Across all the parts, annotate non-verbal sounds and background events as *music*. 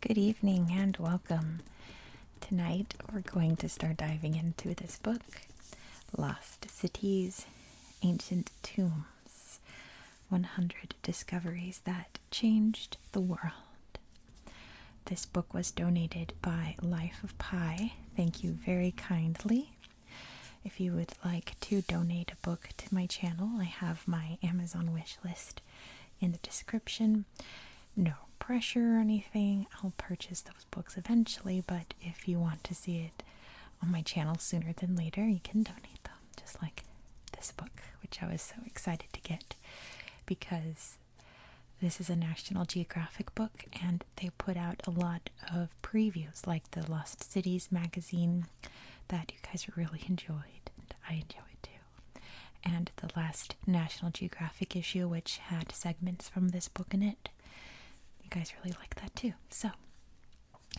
Good evening and welcome. Tonight we're going to start diving into this book, Lost Cities, Ancient Tombs 100 Discoveries That Changed the World. This book was donated by Life of Pi Thank you very kindly. If you would like to donate a book to my channel, I have my Amazon wish list in the description. No pressure or anything. I'll purchase those books eventually, but if you want to see it on my channel sooner than later, you can donate them, just like this book, which I was so excited to get because this is a National Geographic book, and they put out a lot of previews, like the Lost Cities magazine that you guys really enjoyed, and I enjoyed too. And the last National Geographic issue, which had segments from this book in it. You guys really like that too. So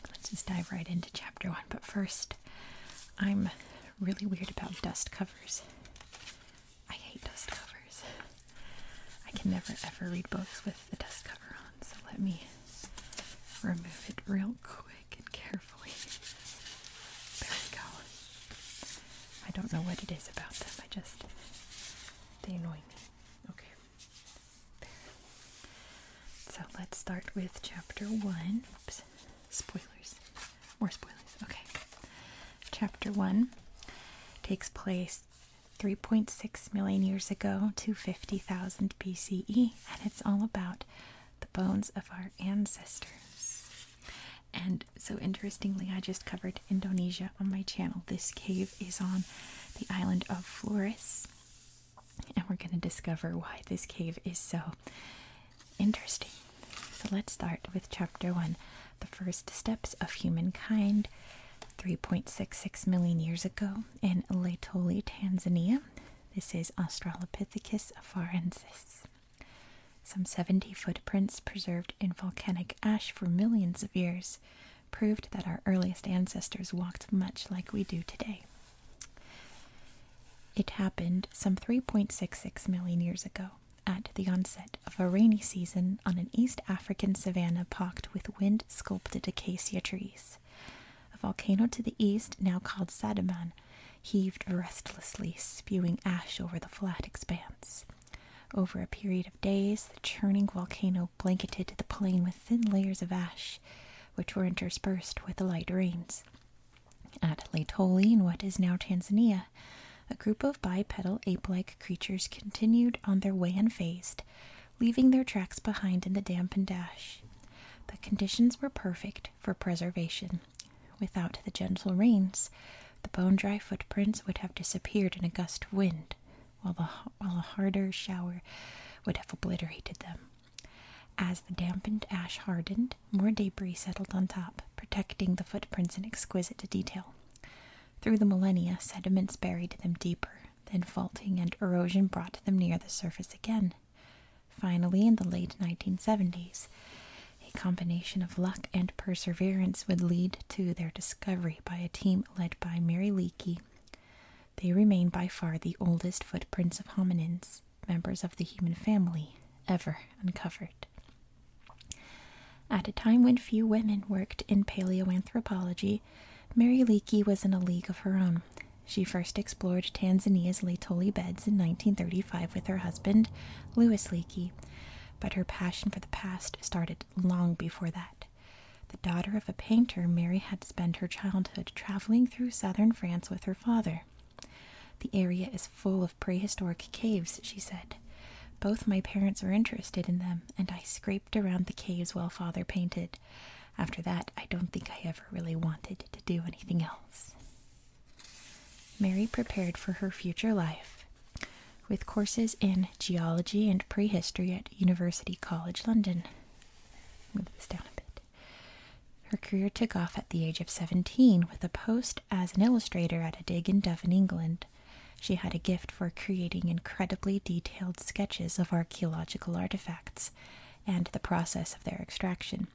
let's just dive right into chapter one. But first, I'm really weird about dust covers. I hate dust covers. I can never ever read books with the dust cover on, so let me remove it real quick and carefully. There we go. I don't know what it is about them, I just. they annoy me. Okay. So let's start with chapter one. Spoilers. More spoilers. Okay. Chapter one takes place 3.6 million years ago to 50,000 BCE, and it's all about the bones of our ancestors. And so, interestingly, I just covered Indonesia on my channel. This cave is on the island of Flores, and we're going to discover why this cave is so interesting. So, let's start with chapter one the first steps of humankind 3.66 million years ago in Laetoli, Tanzania. This is Australopithecus afarensis. Some 70 footprints preserved in volcanic ash for millions of years proved that our earliest ancestors walked much like we do today. It happened some 3.66 million years ago at the onset of a rainy season on an East African African savanna pocked with wind sculpted acacia trees. A volcano to the east, now called Sadaman, heaved restlessly, spewing ash over the flat expanse. Over a period of days, the churning volcano blanketed the plain with thin layers of ash, which were interspersed with light rains. At Laetoli, in what is now Tanzania, a group of bipedal ape like creatures continued on their way unfazed, leaving their tracks behind in the dampened ash. The conditions were perfect for preservation. Without the gentle rains, the bone dry footprints would have disappeared in a gust of wind, while a harder shower would have obliterated them. As the dampened ash hardened, more debris settled on top, protecting the footprints in exquisite detail. Through the millennia, sediments buried them deeper, then faulting and erosion brought them near the surface again. Finally, in the late 1970s, a combination of luck and perseverance would lead to their discovery by a team led by Mary Leakey. They remain by far the oldest footprints of hominins, members of the human family, ever uncovered. At a time when few women worked in paleoanthropology, Mary Leakey was in a league of her own. She first explored Tanzania's Laetoli beds in 1935 with her husband, Louis Leakey, but her passion for the past started long before that. The daughter of a painter, Mary had spent her childhood traveling through southern France with her father. The area is full of prehistoric caves, she said, both my parents were interested in them, and I scraped around the caves while father painted. After that, I don't think I ever really wanted to do anything else. Mary prepared for her future life with courses in geology and prehistory at University College London. Move this down a bit. Her career took off at the age of 17 with a post as an illustrator at a dig in Devon, England. She had a gift for creating incredibly detailed sketches of archaeological artifacts and the process of their extraction.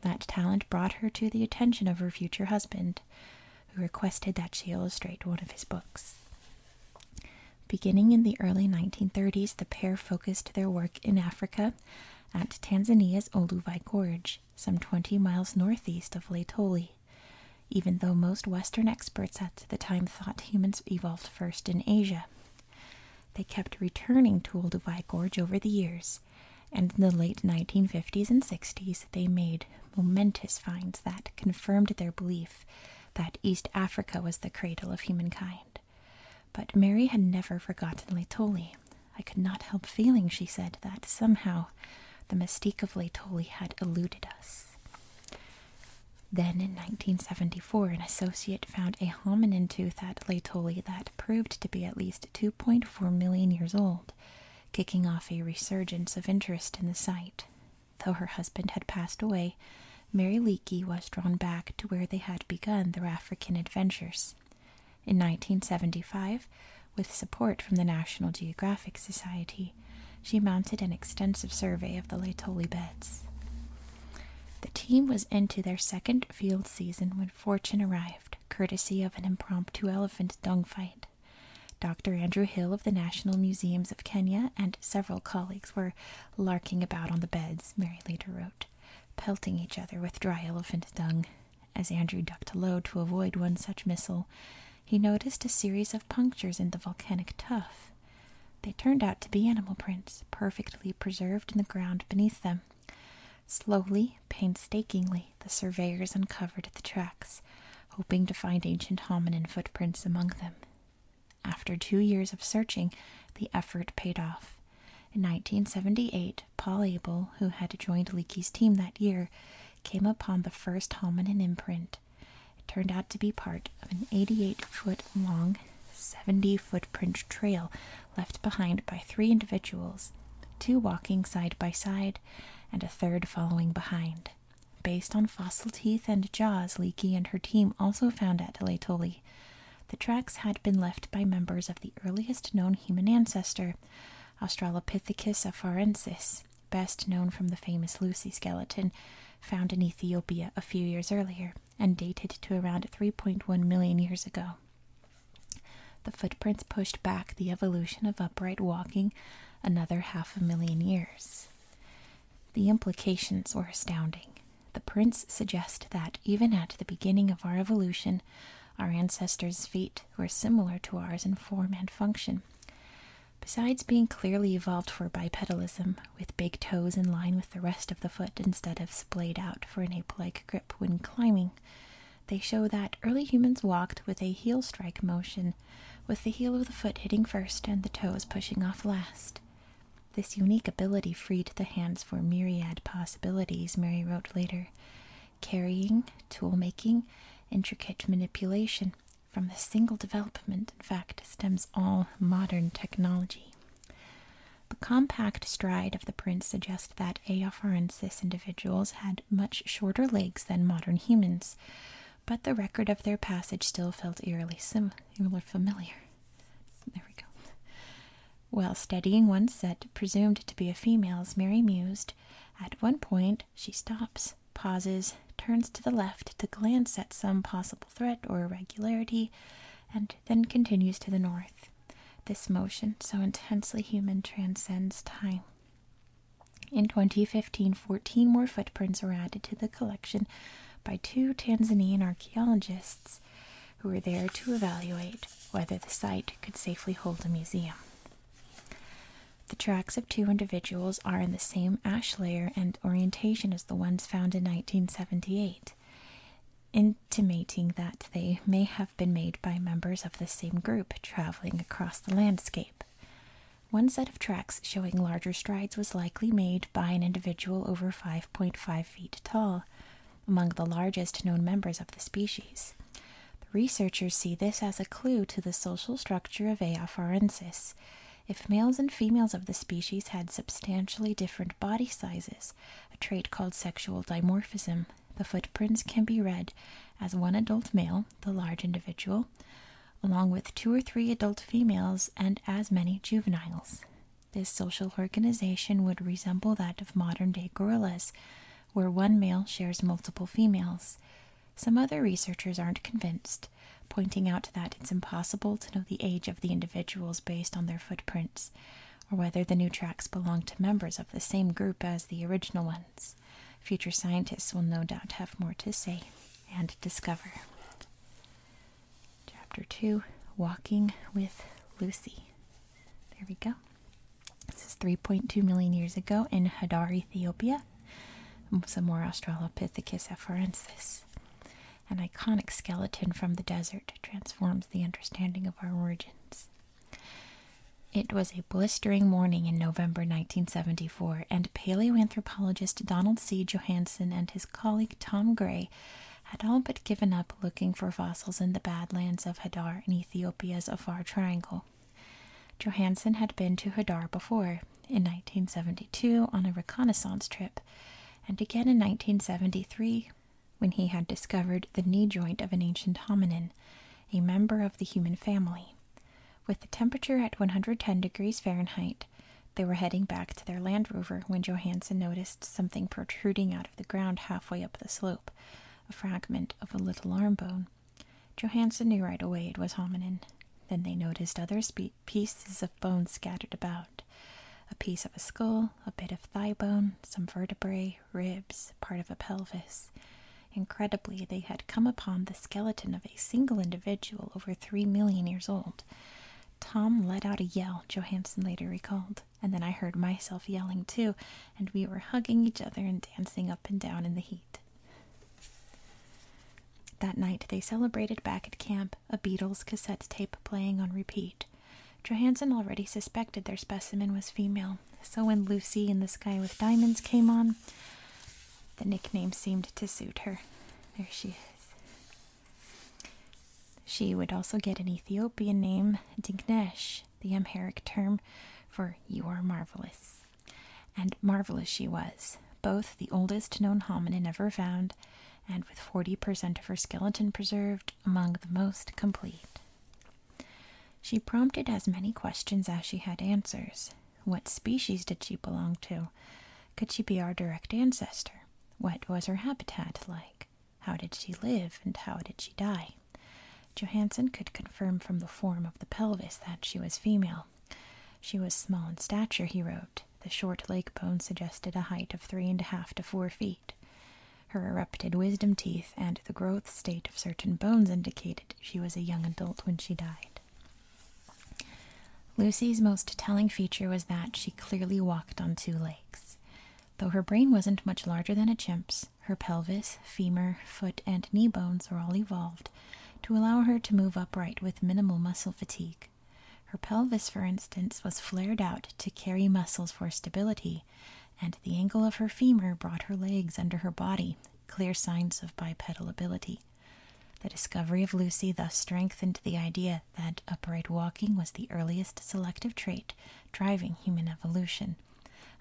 That talent brought her to the attention of her future husband, who requested that she illustrate one of his books. Beginning in the early 1930s, the pair focused their work in Africa at Tanzania's Oluvai Gorge, some 20 miles northeast of Laetoli even though most Western experts at the time thought humans evolved first in Asia. They kept returning to Olduvai Gorge over the years, and in the late 1950s and 60s, they made momentous finds that confirmed their belief that East Africa was the cradle of humankind. But Mary had never forgotten Latoli. I could not help feeling, she said, that somehow the mystique of Latoli had eluded us. Then in 1974, an associate found a hominin tooth at Laetoli that proved to be at least 2.4 million years old, kicking off a resurgence of interest in the site. Though her husband had passed away, Mary Leakey was drawn back to where they had begun their African adventures. In 1975, with support from the National Geographic Society, she mounted an extensive survey of the Laetoli beds. The team was into their second field season when fortune arrived, courtesy of an impromptu elephant dung fight. Dr. Andrew Hill of the National Museums of Kenya and several colleagues were larking about on the beds, Mary later wrote, pelting each other with dry elephant dung. As Andrew ducked low to avoid one such missile, he noticed a series of punctures in the volcanic tuff they turned out to be animal prints, perfectly preserved in the ground beneath them. Slowly, painstakingly, the surveyors uncovered the tracks, hoping to find ancient hominin footprints among them. After two years of searching, the effort paid off. In 1978, Paul Abel, who had joined Leakey's team that year, came upon the first hominin imprint, it turned out to be part of an 88 foot long, 70 footprint trail left behind by three individuals, two walking side by side, and a third following behind. Based on fossil teeth and jaws, Leakey and her team also found at Laetoli. The tracks had been left by members of the earliest known human ancestor, Australopithecus afarensis, best known from the famous Lucy skeleton found in Ethiopia a few years earlier and dated to around 3.1 million years ago. The footprints pushed back the evolution of upright walking another half a million years. The implications were astounding. The prints suggest that, even at the beginning of our evolution, our ancestors' feet were similar to ours in form and function. Besides being clearly evolved for bipedalism, with big toes in line with the rest of the foot instead of splayed out for an ape like grip when climbing, they show that early humans walked with a heel strike motion, with the heel of the foot hitting first and the toes pushing off last. This unique ability freed the hands for myriad possibilities, Mary wrote later carrying, tool making, intricate manipulation, from this single development, in fact, stems all modern technology. The compact stride of the prints suggests that Aeopharensis individuals had much shorter legs than modern humans, but the record of their passage still felt eerily sim familiar. There we go. While studying one set presumed to be a female's, Mary mused, At one point she stops pauses, turns to the left to glance at some possible threat or irregularity, and then continues to the north. This motion, so intensely human, transcends time. In 2015, 14 more footprints were added to the collection by two Tanzanian archaeologists who were there to evaluate whether the site could safely hold a museum. The tracks of two individuals are in the same ash layer and orientation as the ones found in 1978, intimating that they may have been made by members of the same group traveling across the landscape. One set of tracks showing larger strides was likely made by an individual over 5.5 feet tall, among the largest known members of the species. The researchers see this as a clue to the social structure of A. Aeopharensis, if males and females of the species had substantially different body sizes, a trait called sexual dimorphism, the footprints can be read as one adult male, the large individual, along with two or three adult females and as many juveniles. This social organization would resemble that of modern day gorillas, where one male shares multiple females. Some other researchers aren't convinced pointing out that it's impossible to know the age of the individuals based on their footprints, or whether the new tracks belong to members of the same group as the original ones. Future scientists will no doubt have more to say and discover. Chapter 2 Walking with Lucy. There we go. This is 3.2 million years ago in Hadar, Ethiopia some more Australopithecus afarensis. An iconic skeleton from the desert transforms the understanding of our origins. It was a blistering morning in November 1974, and paleoanthropologist Donald C. Johanson and his colleague Tom Gray had all but given up looking for fossils in the badlands of Hadar in Ethiopia's Afar Triangle. Johanson had been to Hadar before, in 1972 on a reconnaissance trip, and again in 1973 when he had discovered the knee joint of an ancient hominin, a member of the human family. With the temperature at 110 degrees Fahrenheit, they were heading back to their Land Rover when Johansen noticed something protruding out of the ground halfway up the slope, a fragment of a little arm bone. Johansen knew right away it was hominin. Then they noticed other spe pieces of bone scattered about a piece of a skull, a bit of thigh bone, some vertebrae, ribs, part of a pelvis. Incredibly, they had come upon the skeleton of a single individual over three million years old. Tom let out a yell, Johansen later recalled, and then I heard myself yelling too, and we were hugging each other and dancing up and down in the heat. That night they celebrated back at camp, a Beatles cassette tape playing on repeat. Johansen already suspected their specimen was female, so when Lucy in the Sky with Diamonds came on, the nickname seemed to suit her. There she is. She would also get an Ethiopian name, Dignesh, the Amharic term for you are marvelous. And marvelous she was, both the oldest known hominin ever found and with 40% of her skeleton preserved, among the most complete. She prompted as many questions as she had answers. What species did she belong to? Could she be our direct ancestor? What was her habitat like? How did she live and how did she die? Johansen could confirm from the form of the pelvis that she was female. She was small in stature, he wrote, the short leg bones suggested a height of three and a half to four feet. Her erupted wisdom teeth and the growth state of certain bones indicated she was a young adult when she died. Lucy's most telling feature was that she clearly walked on two legs. Though her brain wasn't much larger than a chimp's, her pelvis, femur, foot, and knee bones were all evolved to allow her to move upright with minimal muscle fatigue. Her pelvis, for instance, was flared out to carry muscles for stability, and the angle of her femur brought her legs under her body, clear signs of bipedal ability. The discovery of Lucy thus strengthened the idea that upright walking was the earliest selective trait driving human evolution,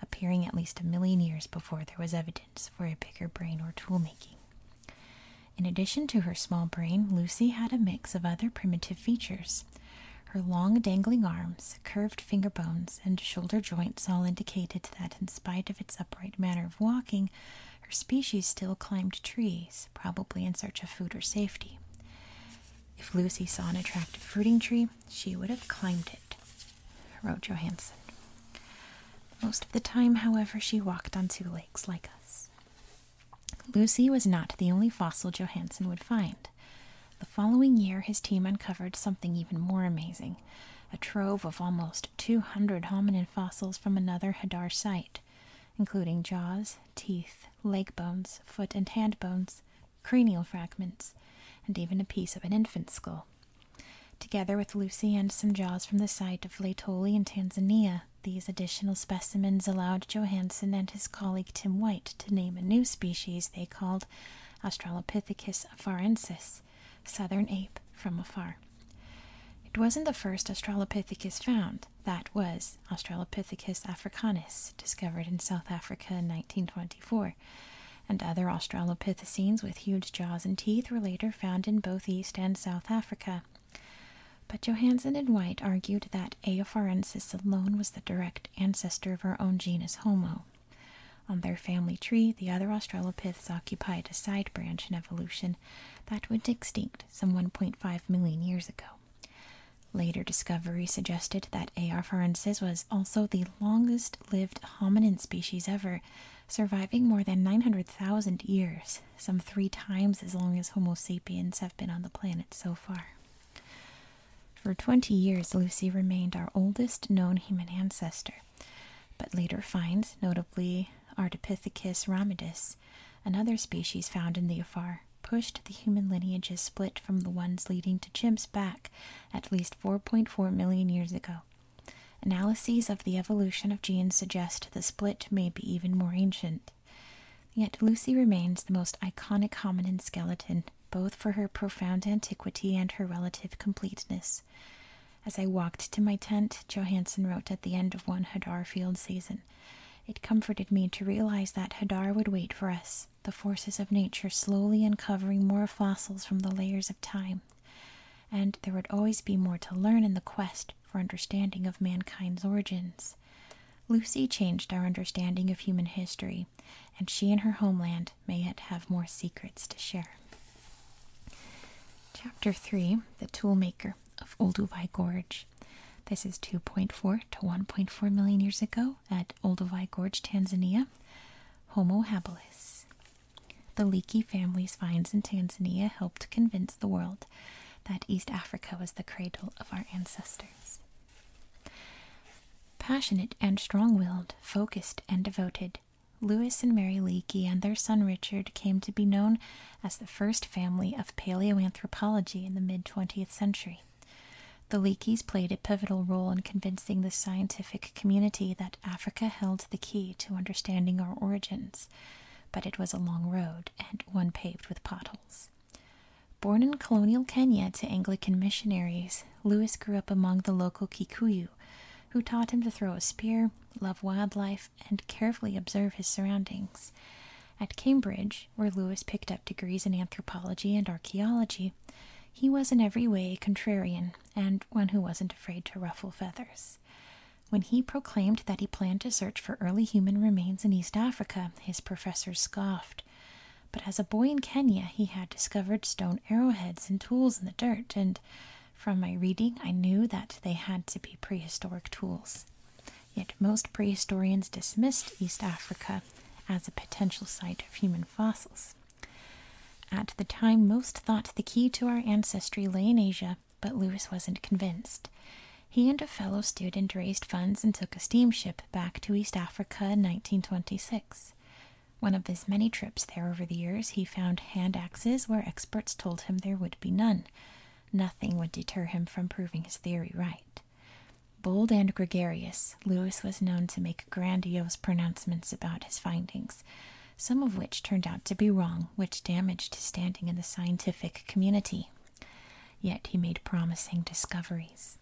appearing at least a million years before there was evidence for a bigger brain or tool making. In addition to her small brain, Lucy had a mix of other primitive features. Her long dangling arms, curved finger bones, and shoulder joints all indicated that, in spite of its upright manner of walking, her species still climbed trees, probably in search of food or safety. If Lucy saw an attractive fruiting tree, she would have climbed it, wrote Johansen. Most of the time, however, she walked on two legs like us. Lucy was not the only fossil Johansen would find. The following year, his team uncovered something even more amazing a trove of almost 200 hominid fossils from another Hadar site, including jaws, teeth, leg bones, foot and hand bones, cranial fragments, and even a piece of an infant skull. Together with Lucy and some jaws from the site of Laetoli in Tanzania, these additional specimens allowed Johanson and his colleague Tim White to name a new species they called Australopithecus afarensis, southern ape from afar. It wasn't the first Australopithecus found, that was Australopithecus africanus, discovered in South Africa in 1924, and other Australopithecines with huge jaws and teeth were later found in both East and South Africa. But Johansen and White argued that A. Aopharensis alone was the direct ancestor of our own genus Homo. On their family tree, the other Australopiths occupied a side branch in evolution that went extinct some 1.5 million years ago. Later discovery suggested that A. Aopharensis was also the longest lived hominin species ever, surviving more than 900,000 years some three times as long as Homo sapiens have been on the planet so far. For 20 years, Lucy remained our oldest known human ancestor, but later finds, notably Ardipithecus ramidus, another species found in the Afar, pushed the human lineages split from the ones leading to chimps back at least 4.4 million years ago. Analyses of the evolution of genes suggest the split may be even more ancient. Yet Lucy remains the most iconic hominin skeleton, both for her profound antiquity and her relative completeness. As I walked to my tent, Johansen wrote at the end of one Hadar field season, it comforted me to realize that Hadar would wait for us, the forces of nature slowly uncovering more fossils from the layers of time. And there would always be more to learn in the quest, for understanding of mankind's origins. Lucy changed our understanding of human history, and she and her homeland may yet have more secrets to share. Chapter 3 The Toolmaker of Olduvai Gorge. This is 2.4 to 1.4 million years ago at Olduvai Gorge, Tanzania. Homo habilis. The Leakey family's finds in Tanzania helped convince the world that East Africa was the cradle of our ancestors. Passionate and strong willed, focused and devoted, Lewis and Mary Leakey and their son Richard came to be known as the first family of paleoanthropology in the mid 20th century. The Leakeys played a pivotal role in convincing the scientific community that Africa held the key to understanding our origins but it was a long road and one paved with potholes. Born in colonial Kenya to Anglican missionaries, Lewis grew up among the local Kikuyu, who taught him to throw a spear, love wildlife, and carefully observe his surroundings. At Cambridge, where Lewis picked up degrees in anthropology and archaeology, he was in every way a contrarian and one who wasn't afraid to ruffle feathers. When he proclaimed that he planned to search for early human remains in East Africa, his professors scoffed. But as a boy in Kenya, he had discovered stone arrowheads and tools in the dirt, and from my reading, I knew that they had to be prehistoric tools. Yet most prehistorians dismissed East Africa as a potential site of human fossils. At the time, most thought the key to our ancestry lay in Asia but Lewis wasn't convinced. He and a fellow student raised funds and took a steamship back to East Africa in 1926. One of his many trips there over the years, he found hand axes where experts told him there would be none. Nothing would deter him from proving his theory right. Bold and gregarious, Lewis was known to make grandiose pronouncements about his findings, some of which turned out to be wrong, which damaged his standing in the scientific community Yet he made promising discoveries.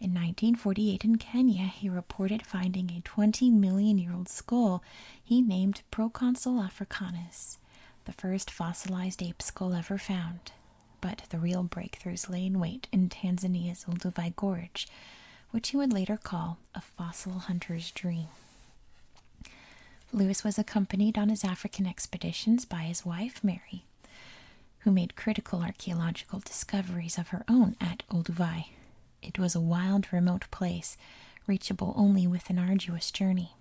In 1948 in Kenya, he reported finding a 20 million year old skull he named Proconsul africanus, the first fossilized ape skull ever found. But the real breakthroughs lay in wait in Tanzania's Olduvai Gorge, which he would later call a fossil hunter's dream. Lewis was accompanied on his African expeditions by his wife Mary, who made critical archaeological discoveries of her own at Olduvai. It was a wild, remote place, reachable only with an arduous journey.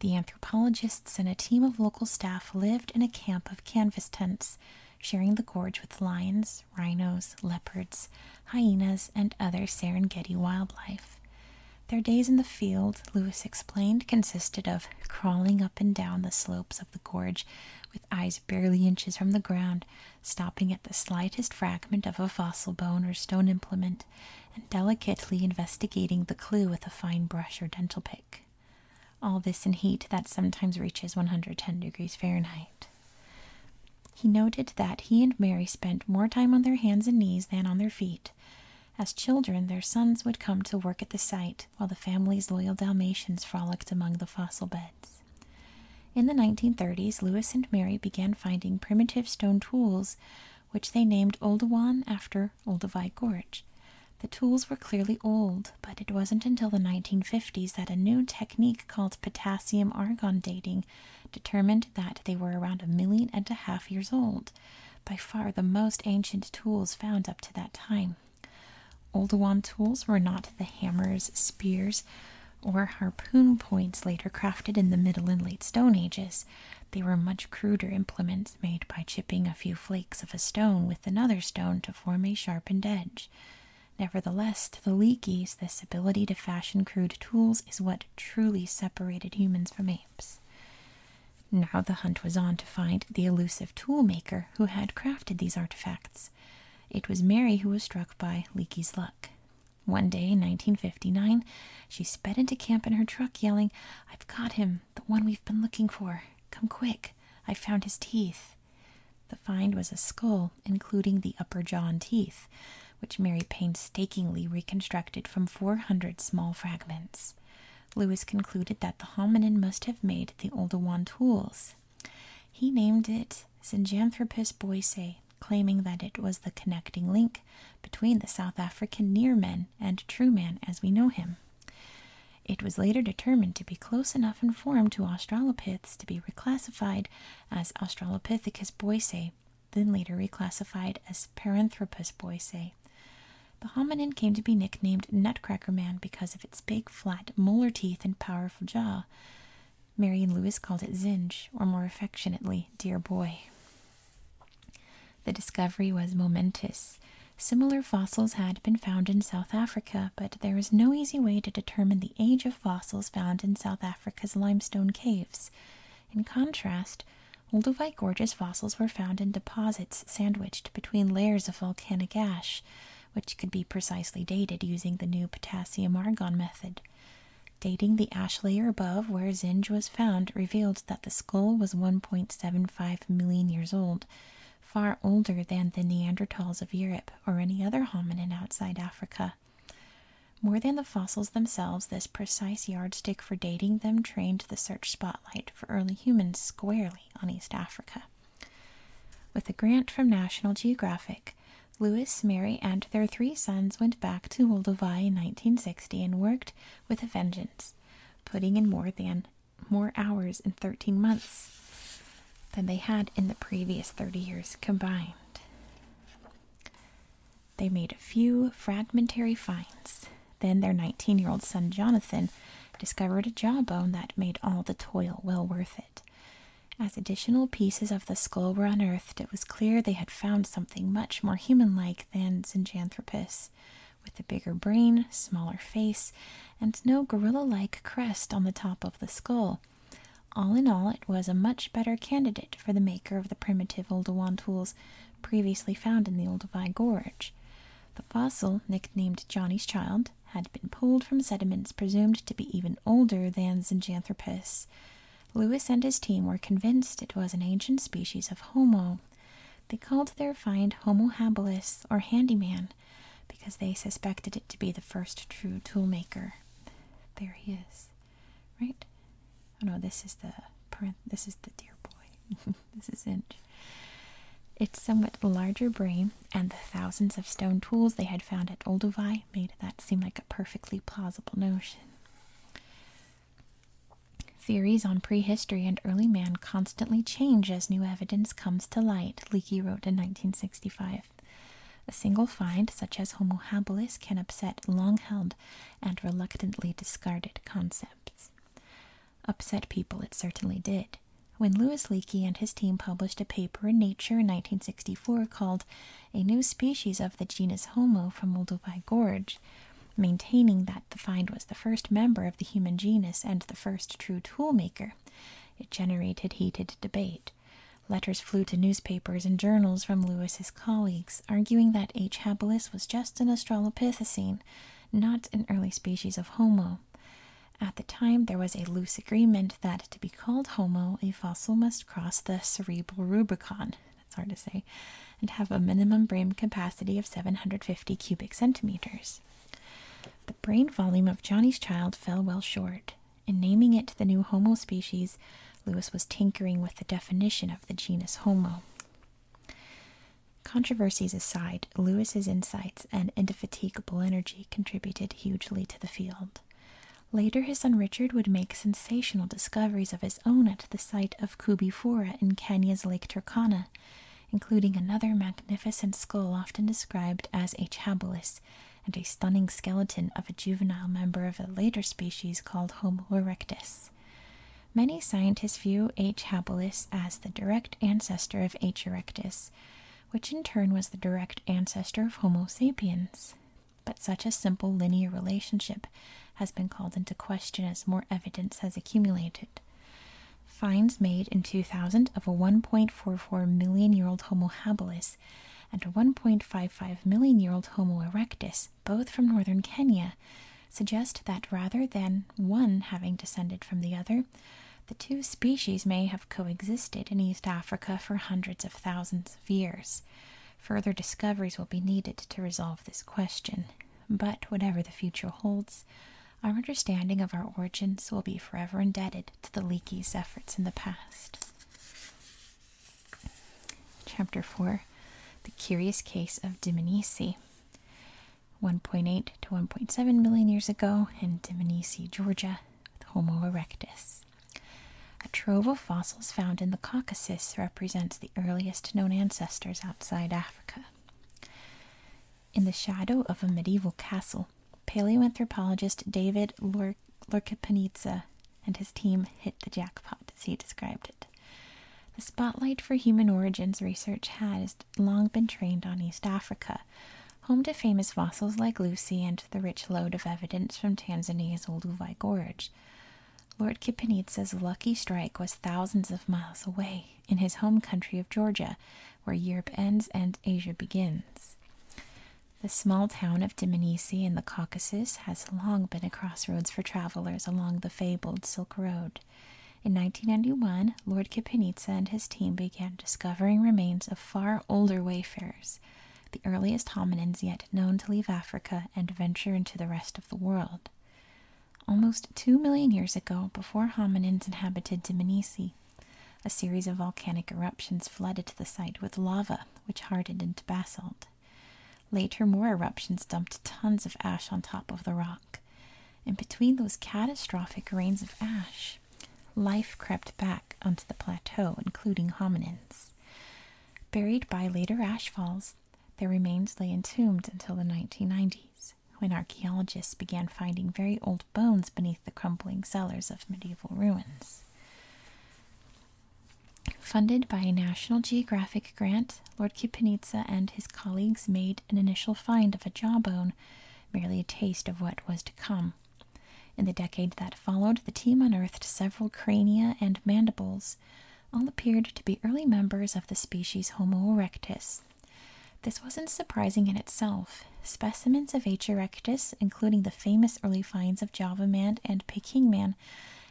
The anthropologists and a team of local staff lived in a camp of canvas tents, sharing the gorge with lions, rhinos, leopards, hyenas, and other Serengeti wildlife. Their days in the field, Lewis explained, consisted of crawling up and down the slopes of the gorge with eyes barely inches from the ground, stopping at the slightest fragment of a fossil bone or stone implement, and delicately investigating the clue with a fine brush or dental pick. All this in heat that sometimes reaches 110 degrees Fahrenheit. He noted that he and Mary spent more time on their hands and knees than on their feet, as children, their sons would come to work at the site while the family's loyal Dalmatians frolicked among the fossil beds. In the 1930s, Lewis and Mary began finding primitive stone tools, which they named Oldowan after Olduvai Gorge. The tools were clearly old, but it wasn't until the 1950s that a new technique called potassium argon dating determined that they were around a million and a half years old by far the most ancient tools found up to that time. Oldowan tools were not the hammers, spears, or harpoon points later crafted in the Middle and Late Stone Ages. They were much cruder implements made by chipping a few flakes of a stone with another stone to form a sharpened edge. Nevertheless, to the Leakeys, this ability to fashion crude tools is what truly separated humans from apes. Now the hunt was on to find the elusive toolmaker who had crafted these artifacts. It was Mary who was struck by Leakey's luck. One day in 1959, she sped into camp in her truck yelling, I've got him, the one we've been looking for. Come quick, I found his teeth. The find was a skull, including the upper jaw and teeth, which Mary painstakingly reconstructed from 400 small fragments. Lewis concluded that the hominin must have made the Oldowan tools. He named it Sinanthropus boisei, claiming that it was the connecting link between the South African near and true man as we know him. It was later determined to be close enough in form to Australopiths to be reclassified as Australopithecus boisei, then later reclassified as Paranthropus, Paranthropus boisei. The hominin came to be nicknamed Nutcracker Man because of its big, flat molar teeth and powerful jaw. Marian Lewis called it Zinj, or more affectionately, Dear Boy. The discovery was momentous. Similar fossils had been found in South Africa, but there is no easy way to determine the age of fossils found in South Africa's limestone caves. In contrast, Olduvai Gorge's fossils were found in deposits sandwiched between layers of volcanic ash, which could be precisely dated using the new potassium argon method. Dating the ash layer above where Zinj was found revealed that the skull was 1.75 million years old, far older than the Neanderthals of Europe or any other hominin outside Africa. More than the fossils themselves, this precise yardstick for dating them trained the search spotlight for early humans squarely on East Africa. With a grant from National Geographic, Lewis, Mary, and their three sons went back to Olduvai in 1960 and worked with a vengeance, putting in more than more hours in 13 months than they had in the previous 30 years combined. They made a few fragmentary finds, then their 19 year old son Jonathan discovered a jawbone that made all the toil well worth it. As additional pieces of the skull were unearthed, it was clear they had found something much more human like than Xanthropus, with a bigger brain, smaller face, and no gorilla like crest on the top of the skull. All in all, it was a much better candidate for the maker of the primitive Oldowan tools previously found in the Old Levi Gorge. The fossil, nicknamed Johnny's Child, had been pulled from sediments presumed to be even older than Zyganthiropus. Lewis and his team were convinced it was an ancient species of Homo. They called their find Homo habilis, or handyman, because they suspected it to be the first true toolmaker. There he is, right? Oh no, this is the this is the dear boy. *laughs* This isn't its somewhat larger brain and the thousands of stone tools they had found at Olduvai made that seem like a perfectly plausible notion. Theories on prehistory and early man constantly change as new evidence comes to light, Leakey wrote in 1965. A single find, such as Homo habilis, can upset long held and reluctantly discarded concepts upset people it certainly did. When Louis Leakey and his team published a paper in Nature in 1964 called A New Species of the Genus Homo from Moldovai Gorge, maintaining that the find was the first member of the human genus and the first true toolmaker, it generated heated debate. Letters flew to newspapers and journals from Lewis's colleagues, arguing that H. habilis was just an Australopithecine, not an early species of Homo. At the time, there was a loose agreement that to be called Homo, a fossil must cross the cerebral Rubicon that's hard to say and have a minimum brain capacity of 750 cubic centimeters. The brain volume of Johnny's child fell well short. In naming it the new Homo species, Lewis was tinkering with the definition of the genus Homo. Controversies aside, Lewis's insights and indefatigable energy contributed hugely to the field. Later, his son Richard would make sensational discoveries of his own at the site of Kubifora in Kenya's Lake Turkana, including another magnificent skull often described as a chabolus and a stunning skeleton of a juvenile member of a later species called Homo erectus. Many scientists view H. habilis as the direct ancestor of H. erectus, which in turn was the direct ancestor of Homo sapiens. But such a simple linear relationship has been called into question as more evidence has accumulated. Finds made in 2000 of a 1.44 million year old Homo habilis and a 1.55 million year old Homo erectus, both from northern Kenya, suggest that rather than one having descended from the other, the two species may have coexisted in East Africa for hundreds of thousands of years. Further discoveries will be needed to resolve this question, but whatever the future holds, our understanding of our origins will be forever indebted to the Leakey's efforts in the past. Chapter 4 The Curious Case of Diminisi. 1.8 to 1.7 million years ago in Diminisi, Georgia, with Homo erectus. A trove of fossils found in the Caucasus represents the earliest known ancestors outside Africa. In the shadow of a medieval castle, paleoanthropologist David Lurkipanitsa and his team hit the jackpot, as he described the spotlight for human origins research has long been trained on East Africa, home to famous fossils like Lucy and the rich load of evidence from Tanzania's Olduvai Gorge. Lord Kipanidze's lucky strike was thousands of miles away, in his home country of Georgia, where Europe ends and Asia begins. The small town of Dimenisi in the Caucasus has long been a crossroads for travelers along the fabled Silk Road. In 1991, Lord Kapinitsa and his team began discovering remains of far older wayfarers, the earliest hominins yet known to leave Africa and venture into the rest of the world. Almost two million years ago, before hominins inhabited Diminisi, a series of volcanic eruptions flooded the site with lava, which hardened into basalt. Later, more eruptions dumped tons of ash on top of the rock and between those catastrophic rains of ash, life crept back onto the plateau, including hominins. Buried by later ash falls, their remains lay entombed until the 1990s, when archaeologists began finding very old bones beneath the crumbling cellars of medieval ruins. Funded by a National Geographic grant, Lord Kipanitsa and his colleagues made an initial find of a jawbone, merely a taste of what was to come. In the decade that followed, the team unearthed several crania and mandibles. All appeared to be early members of the species Homo erectus. This wasn't surprising in itself. Specimens of H. erectus, including the famous early finds of Java man and Peking man,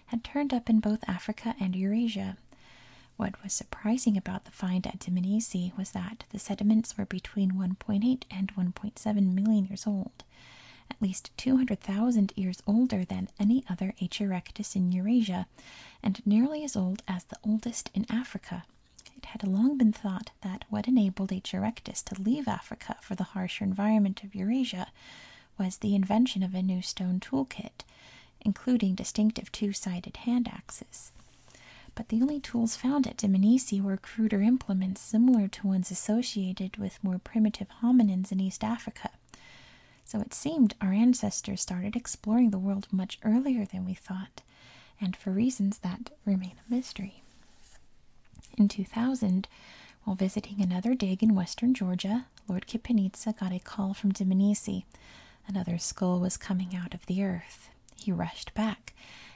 had turned up in both Africa and Eurasia. What was surprising about the find at Dimenisi was that the sediments were between 1.8 and 1.7 million years old, at least 200,000 years older than any other H. erectus in Eurasia, and nearly as old as the oldest in Africa. It had long been thought that what enabled H. erectus to leave Africa for the harsher environment of Eurasia was the invention of a new stone toolkit including distinctive two sided hand axes. But the only tools found at Diminisi were cruder implements similar to ones associated with more primitive hominins in East Africa. So it seemed our ancestors started exploring the world much earlier than we thought, and for reasons that remain a mystery. In 2000, while visiting another dig in western Georgia, Lord Kipanitsa got a call from Diminisi, Another skull was coming out of the earth. He rushed back,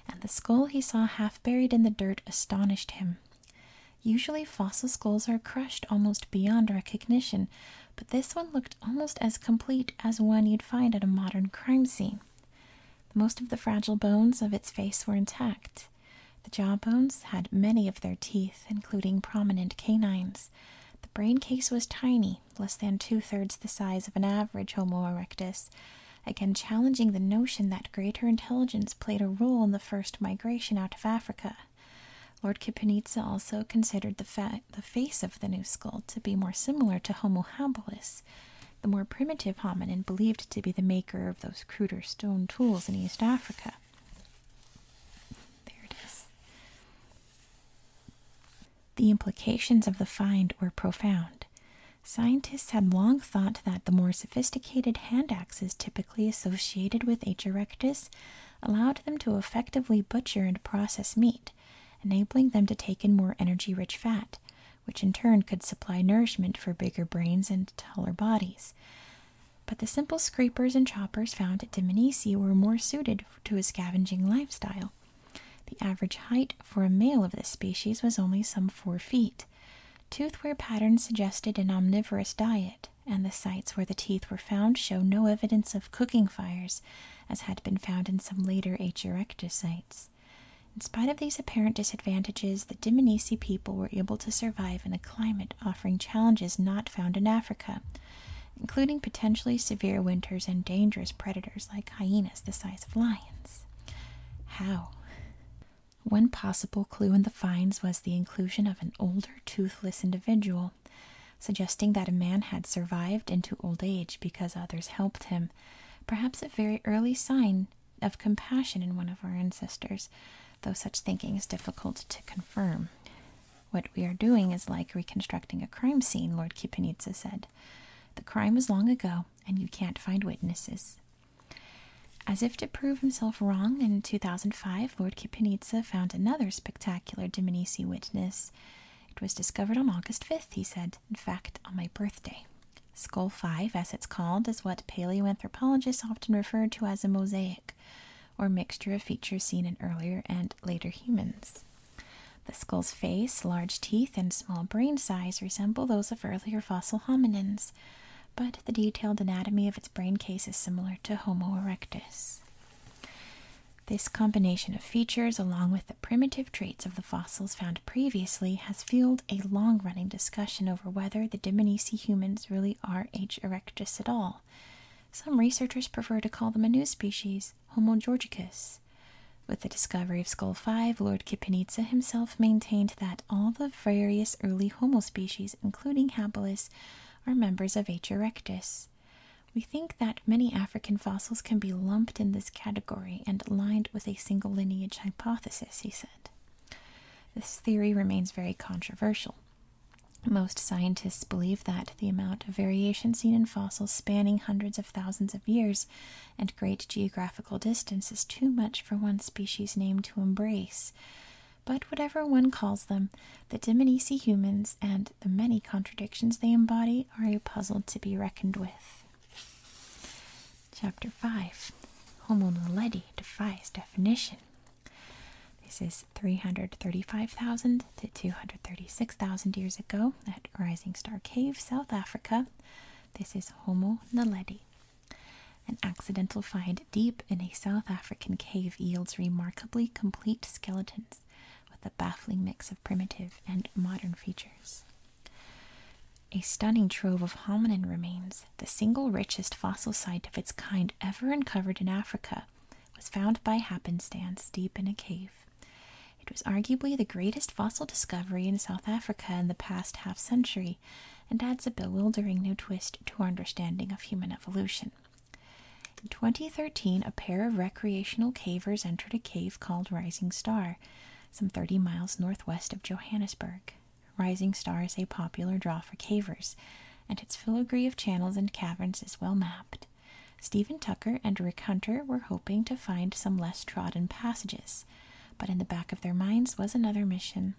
and the skull he saw half buried in the dirt astonished him. Usually, fossil skulls are crushed almost beyond recognition, but this one looked almost as complete as one you'd find at a modern crime scene. Most of the fragile bones of its face were intact. The jawbones had many of their teeth, including prominent canines. The brain case was tiny, less than two thirds the size of an average Homo erectus, again challenging the notion that greater intelligence played a role in the first migration out of Africa. Lord Kipanitsa also considered the, the face of the new skull to be more similar to Homo habilis, the more primitive hominin believed to be the maker of those cruder stone tools in East Africa. There it is. The implications of the find were profound. Scientists had long thought that the more sophisticated hand axes typically associated with H. erectus allowed them to effectively butcher and process meat, enabling them to take in more energy rich fat, which in turn could supply nourishment for bigger brains and taller bodies. But the simple scrapers and choppers found at Dimenisi were more suited to a scavenging lifestyle. The average height for a male of this species was only some four feet. Tooth wear patterns suggested an omnivorous diet, and the sites where the teeth were found show no evidence of cooking fires, as had been found in some later H. erectus sites. In spite of these apparent disadvantages, the Dimonisi people were able to survive in a climate offering challenges not found in Africa including potentially severe winters and dangerous predators like hyenas the size of lions. How? One possible clue in the finds was the inclusion of an older toothless individual, suggesting that a man had survived into old age because others helped him, perhaps a very early sign of compassion in one of our ancestors, though such thinking is difficult to confirm. What we are doing is like reconstructing a crime scene, Lord Kipanitsa said. The crime was long ago, and you can't find witnesses. As if to prove himself wrong, in 2005, Lord Kipanitsa found another spectacular Dominici witness. It was discovered on August 5th, he said, in fact, on my birthday. Skull 5, as it's called, is what paleoanthropologists often refer to as a mosaic, or mixture of features seen in earlier and later humans. The skull's face, large teeth, and small brain size resemble those of earlier fossil hominins, but the detailed anatomy of its brain case is similar to Homo erectus. This combination of features, along with the primitive traits of the fossils found previously, has fueled a long running discussion over whether the Dimonisi humans really are H. erectus at all. Some researchers prefer to call them a new species, Homo Georgicus. With the discovery of Skull 5, Lord Kipanitsa himself maintained that all the various early Homo species, including Habilis, are members of H. erectus. We think that many African fossils can be lumped in this category and lined with a single lineage hypothesis, he said. This theory remains very controversial. Most scientists believe that the amount of variation seen in fossils spanning hundreds of thousands of years and great geographical distance is too much for one species name to embrace. But whatever one calls them, the Dimonisi humans and the many contradictions they embody are a puzzle to be reckoned with. Chapter 5 Homo naledi defies definition. This is 335,000 to 236,000 years ago at Rising Star Cave, South Africa. This is Homo naledi. An accidental find deep in a South African cave yields remarkably complete skeletons with a baffling mix of primitive and modern features. A stunning trove of hominin remains, the single richest fossil site of its kind ever uncovered in Africa, was found by happenstance deep in a cave. It was arguably the greatest fossil discovery in South Africa in the past half century and adds a bewildering new twist to our understanding of human evolution. In 2013, a pair of recreational cavers entered a cave called Rising Star, some 30 miles northwest of Johannesburg. Rising Star is a popular draw for cavers, and its filigree of channels and caverns is well mapped. Stephen Tucker and Rick Hunter were hoping to find some less trodden passages, but in the back of their minds was another mission.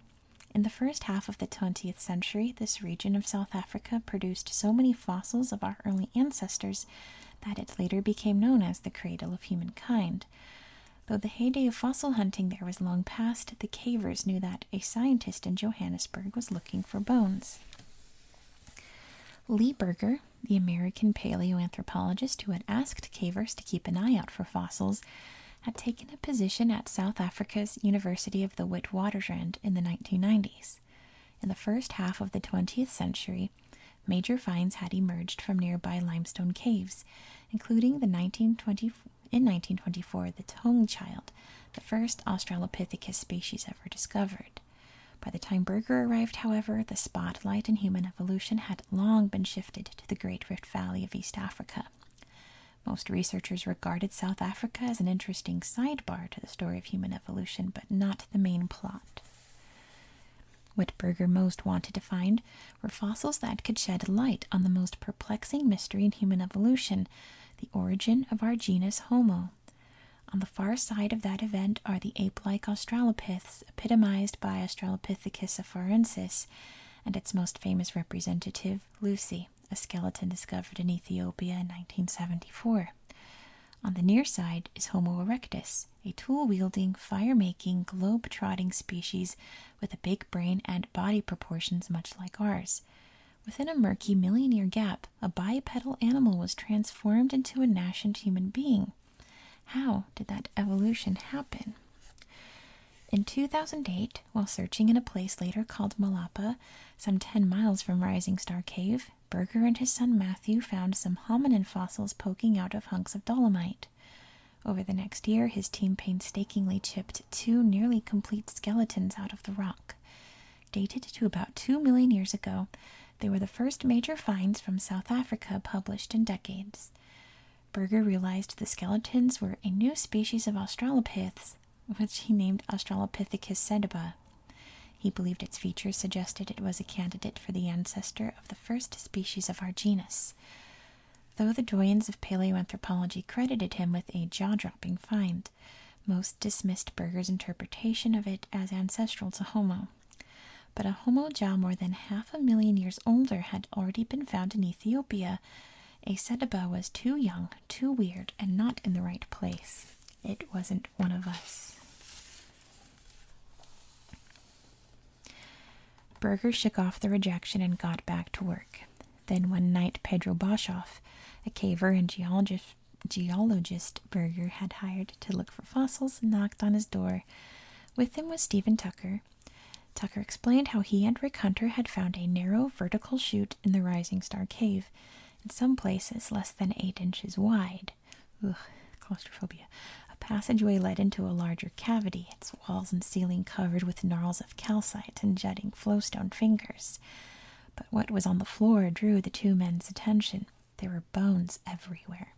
In the first half of the 20th century, this region of South Africa produced so many fossils of our early ancestors that it later became known as the cradle of humankind. Though the heyday of fossil hunting there was long past, the cavers knew that a scientist in Johannesburg was looking for bones. Lee Berger, the American paleoanthropologist who had asked cavers to keep an eye out for fossils, had taken a position at South Africa's University of the Witwatersrand in the 1990s. In the first half of the 20th century, major finds had emerged from nearby limestone caves, including the 1920, in 1924 the Tong Child, the first Australopithecus species ever discovered. By the time Berger arrived, however, the spotlight in human evolution had long been shifted to the Great Rift Valley of East Africa. Most researchers regarded South Africa as an interesting sidebar to the story of human evolution, but not the main plot. What Berger most wanted to find were fossils that could shed light on the most perplexing mystery in human evolution, the origin of our genus Homo. On the far side of that event are the ape like Australopiths, epitomized by Australopithecus afarensis and its most famous representative, Lucy, a skeleton discovered in Ethiopia in 1974. On the near side is Homo erectus, a tool wielding, fire making, globe trotting species with a big brain and body proportions much like ours. Within a murky million-year gap, a bipedal animal was transformed into a nascent human being. How did that evolution happen? In 2008, while searching in a place later called Malapa, some 10 miles from Rising Star Cave, Berger and his son Matthew found some hominin fossils poking out of hunks of dolomite. Over the next year, his team painstakingly chipped two nearly complete skeletons out of the rock. Dated to about 2 million years ago, they were the first major finds from South Africa published in decades. Berger realized the skeletons were a new species of Australopiths, which he named Australopithecus sediba. He believed its features suggested it was a candidate for the ancestor of the first species of our genus. Though the doyens of paleoanthropology credited him with a jaw dropping find, most dismissed Berger's interpretation of it as ancestral to Homo. But a Homo jaw more than half a million years older had already been found in Ethiopia. A Seteba was too young, too weird, and not in the right place. It wasn't one of us. Berger shook off the rejection and got back to work. Then one night, Pedro Boshoff, a caver and geologist, geologist Berger had hired to look for fossils knocked on his door. With him was Stephen Tucker. Tucker explained how he and Rick Hunter had found a narrow vertical chute in the Rising Star Cave, in some places less than eight inches wide. Ugh, claustrophobia. A passageway led into a larger cavity, its walls and ceiling covered with gnarls of calcite and jutting flowstone fingers. But what was on the floor drew the two men's attention. There were bones everywhere.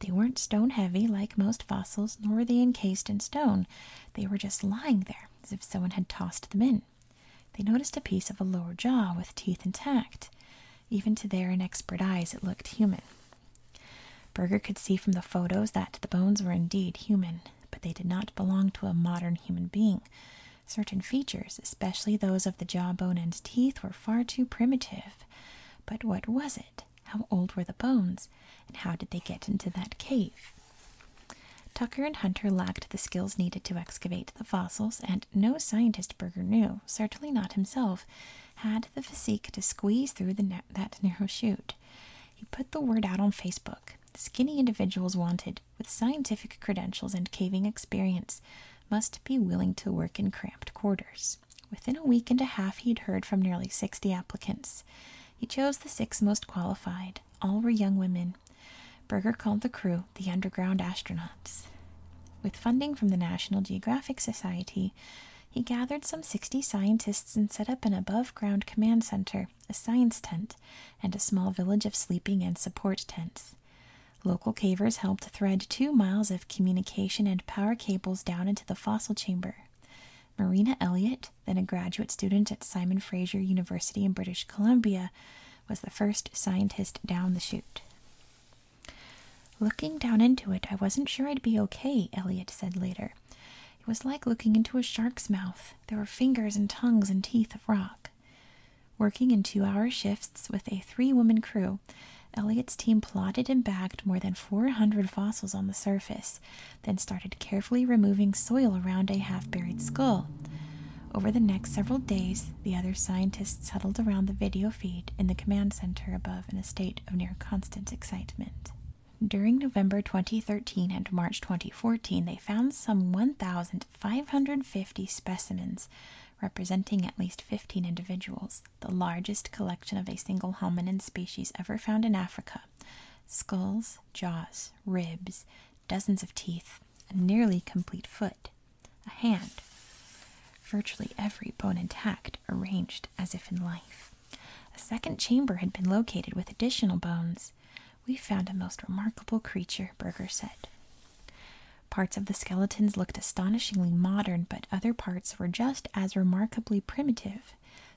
They weren't stone heavy like most fossils, nor were they encased in stone. They were just lying there as if someone had tossed them in. They noticed a piece of a lower jaw with teeth intact. Even to their inexpert eyes, it looked human. Berger could see from the photos that the bones were indeed human, but they did not belong to a modern human being. Certain features, especially those of the jawbone and teeth, were far too primitive but what was it? How old were the bones? And how did they get into that cave? Tucker and Hunter lacked the skills needed to excavate the fossils, and no scientist Berger knew, certainly not himself, had the physique to squeeze through that narrow chute. He put the word out on Facebook. Skinny individuals wanted, with scientific credentials and caving experience, must be willing to work in cramped quarters. Within a week and a half, he'd heard from nearly 60 applicants. He chose the six most qualified. All were young women. Berger called the crew the underground astronauts. With funding from the National Geographic Society, he gathered some 60 scientists and set up an above ground command center, a science tent, and a small village of sleeping and support tents. Local cavers helped thread two miles of communication and power cables down into the fossil chamber. Marina Elliott, then a graduate student at Simon Fraser University in British Columbia, was the first scientist down the chute. Looking down into it, I wasn't sure I'd be okay, Elliot said later. It was like looking into a shark's mouth. There were fingers and tongues and teeth of rock. Working in two hour shifts, with a three woman crew, Elliot's team plotted and bagged more than 400 fossils on the surface, then started carefully removing soil around a half buried skull. Over the next several days, the other scientists huddled around the video feed in the command center above in a state of near constant excitement. During November 2013 and March 2014, they found some 1,550 specimens representing at least 15 individuals, the largest collection of a single hominin species ever found in Africa. Skulls, jaws, ribs, dozens of teeth, a nearly complete foot, a hand, virtually every bone intact, arranged as if in life. A second chamber had been located with additional bones. We found a most remarkable creature, Berger said. Parts of the skeletons looked astonishingly modern, but other parts were just as remarkably primitive.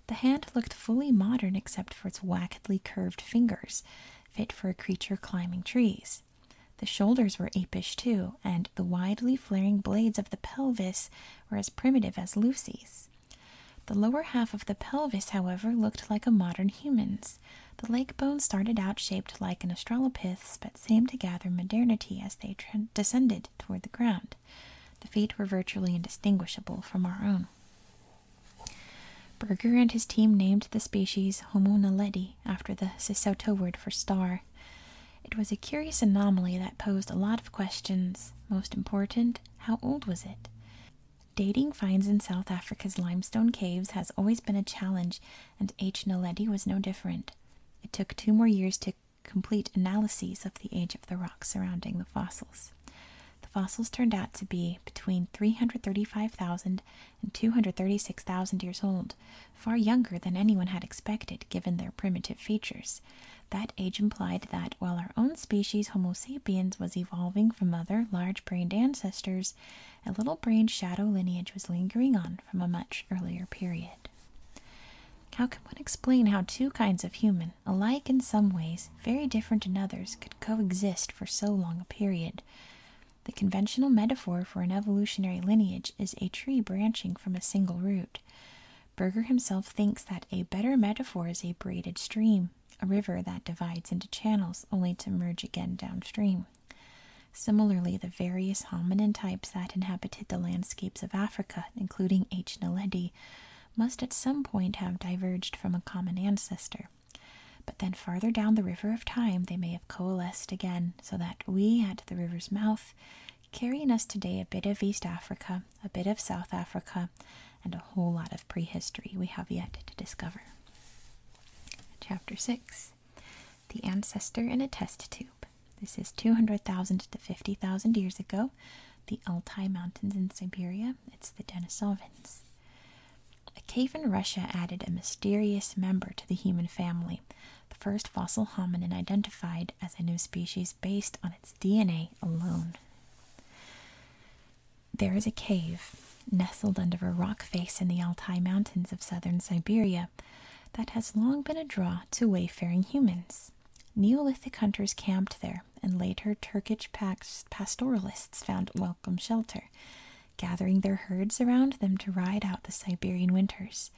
The hand looked fully modern except for its wackedly curved fingers, fit for a creature climbing trees. The shoulders were apish too, and the widely flaring blades of the pelvis were as primitive as Lucy's. The lower half of the pelvis, however, looked like a modern human's. The leg bones started out shaped like an australopith's, but seemed to gather modernity as they descended toward the ground. The feet were virtually indistinguishable from our own. Berger and his team named the species Homo naledi after the Sesotho word for star. It was a curious anomaly that posed a lot of questions. Most important, how old was it? Dating finds in South Africa's limestone caves has always been a challenge and H. Naledi was no different. It took two more years to complete analyses of the age of the rocks surrounding the fossils. The fossils turned out to be between 335,000 and 236,000 years old, far younger than anyone had expected given their primitive features. That age implied that while our own species, Homo sapiens, was evolving from other large brained ancestors, a little brained shadow lineage was lingering on from a much earlier period. How can one explain how two kinds of human, alike in some ways, very different in others, could coexist for so long a period? The conventional metaphor for an evolutionary lineage is a tree branching from a single root. Berger himself thinks that a better metaphor is a braided stream, a river that divides into channels only to merge again downstream. Similarly, the various hominin types that inhabited the landscapes of Africa, including H. naledi, must at some point have diverged from a common ancestor. But then farther down the river of time, they may have coalesced again, so that we, at the river's mouth, carry in us today a bit of East Africa, a bit of South Africa, and a whole lot of prehistory we have yet to discover. Chapter 6 the ancestor in a test tube. This is 200,000 to 50,000 years ago. The Altai Mountains in Siberia. It's the Denisovans. A cave in Russia added a mysterious member to the human family, the first fossil hominin identified as a new species based on its DNA alone. There is a cave nestled under a rock face in the Altai Mountains of southern Siberia that has long been a draw to wayfaring humans. Neolithic hunters camped there, and later Turkish pastoralists found welcome shelter, gathering their herds around them to ride out the Siberian winters.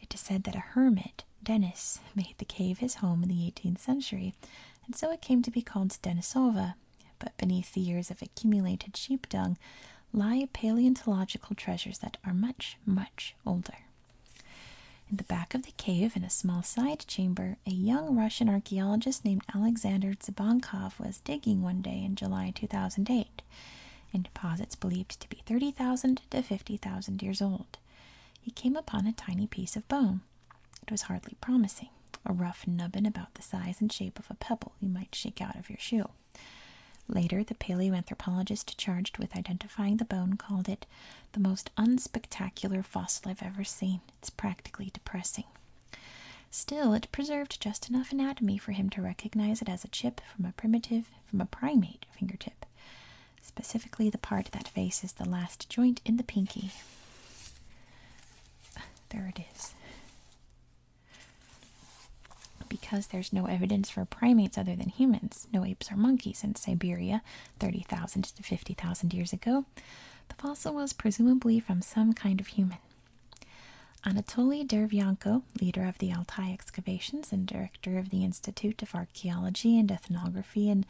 It is said that a hermit, Denis, made the cave his home in the 18th century, and so it came to be called Denisova. But beneath the years of accumulated sheep dung lie paleontological treasures that are much, much older. In the back of the cave, in a small side chamber, a young Russian archaeologist named Alexander Zabankov was digging one day in July 2008 in deposits believed to be 30,000 to 50,000 years old. He came upon a tiny piece of bone. It was hardly promising, a rough nubbin about the size and shape of a pebble you might shake out of your shoe. Later, the paleoanthropologist charged with identifying the bone called it the most unspectacular fossil I've ever seen. It's practically depressing. Still, it preserved just enough anatomy for him to recognize it as a chip from a primitive, from a primate fingertip. Specifically, the part that faces the last joint in the pinky. There it is. Because there's no evidence for primates other than humans, no apes or monkeys in Siberia 30,000 to 50,000 years ago, the fossil was presumably from some kind of human. Anatoly Derevyanko, leader of the Altai excavations and director of the Institute of Archaeology and Ethnography in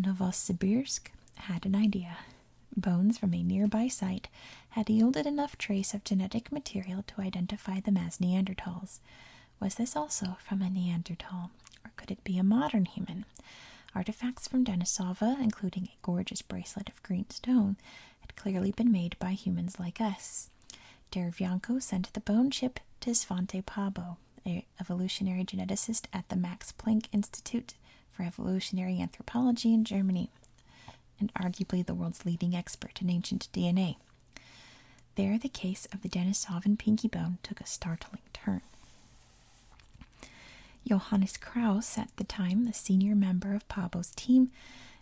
Novosibirsk, had an idea. Bones from a nearby site had yielded enough trace of genetic material to identify them as Neanderthals. Was this also from a Neanderthal, or could it be a modern human? Artifacts from Denisova, including a gorgeous bracelet of green stone, had clearly been made by humans like us. Derevyanko sent the bone chip to Svante Pabo, an evolutionary geneticist at the Max Planck Institute for Evolutionary Anthropology in Germany, and arguably the world's leading expert in ancient DNA. There, the case of the Denisov and Pinky Bone took a startling turn. Johannes Kraus, at the time the senior member of Pablo's team,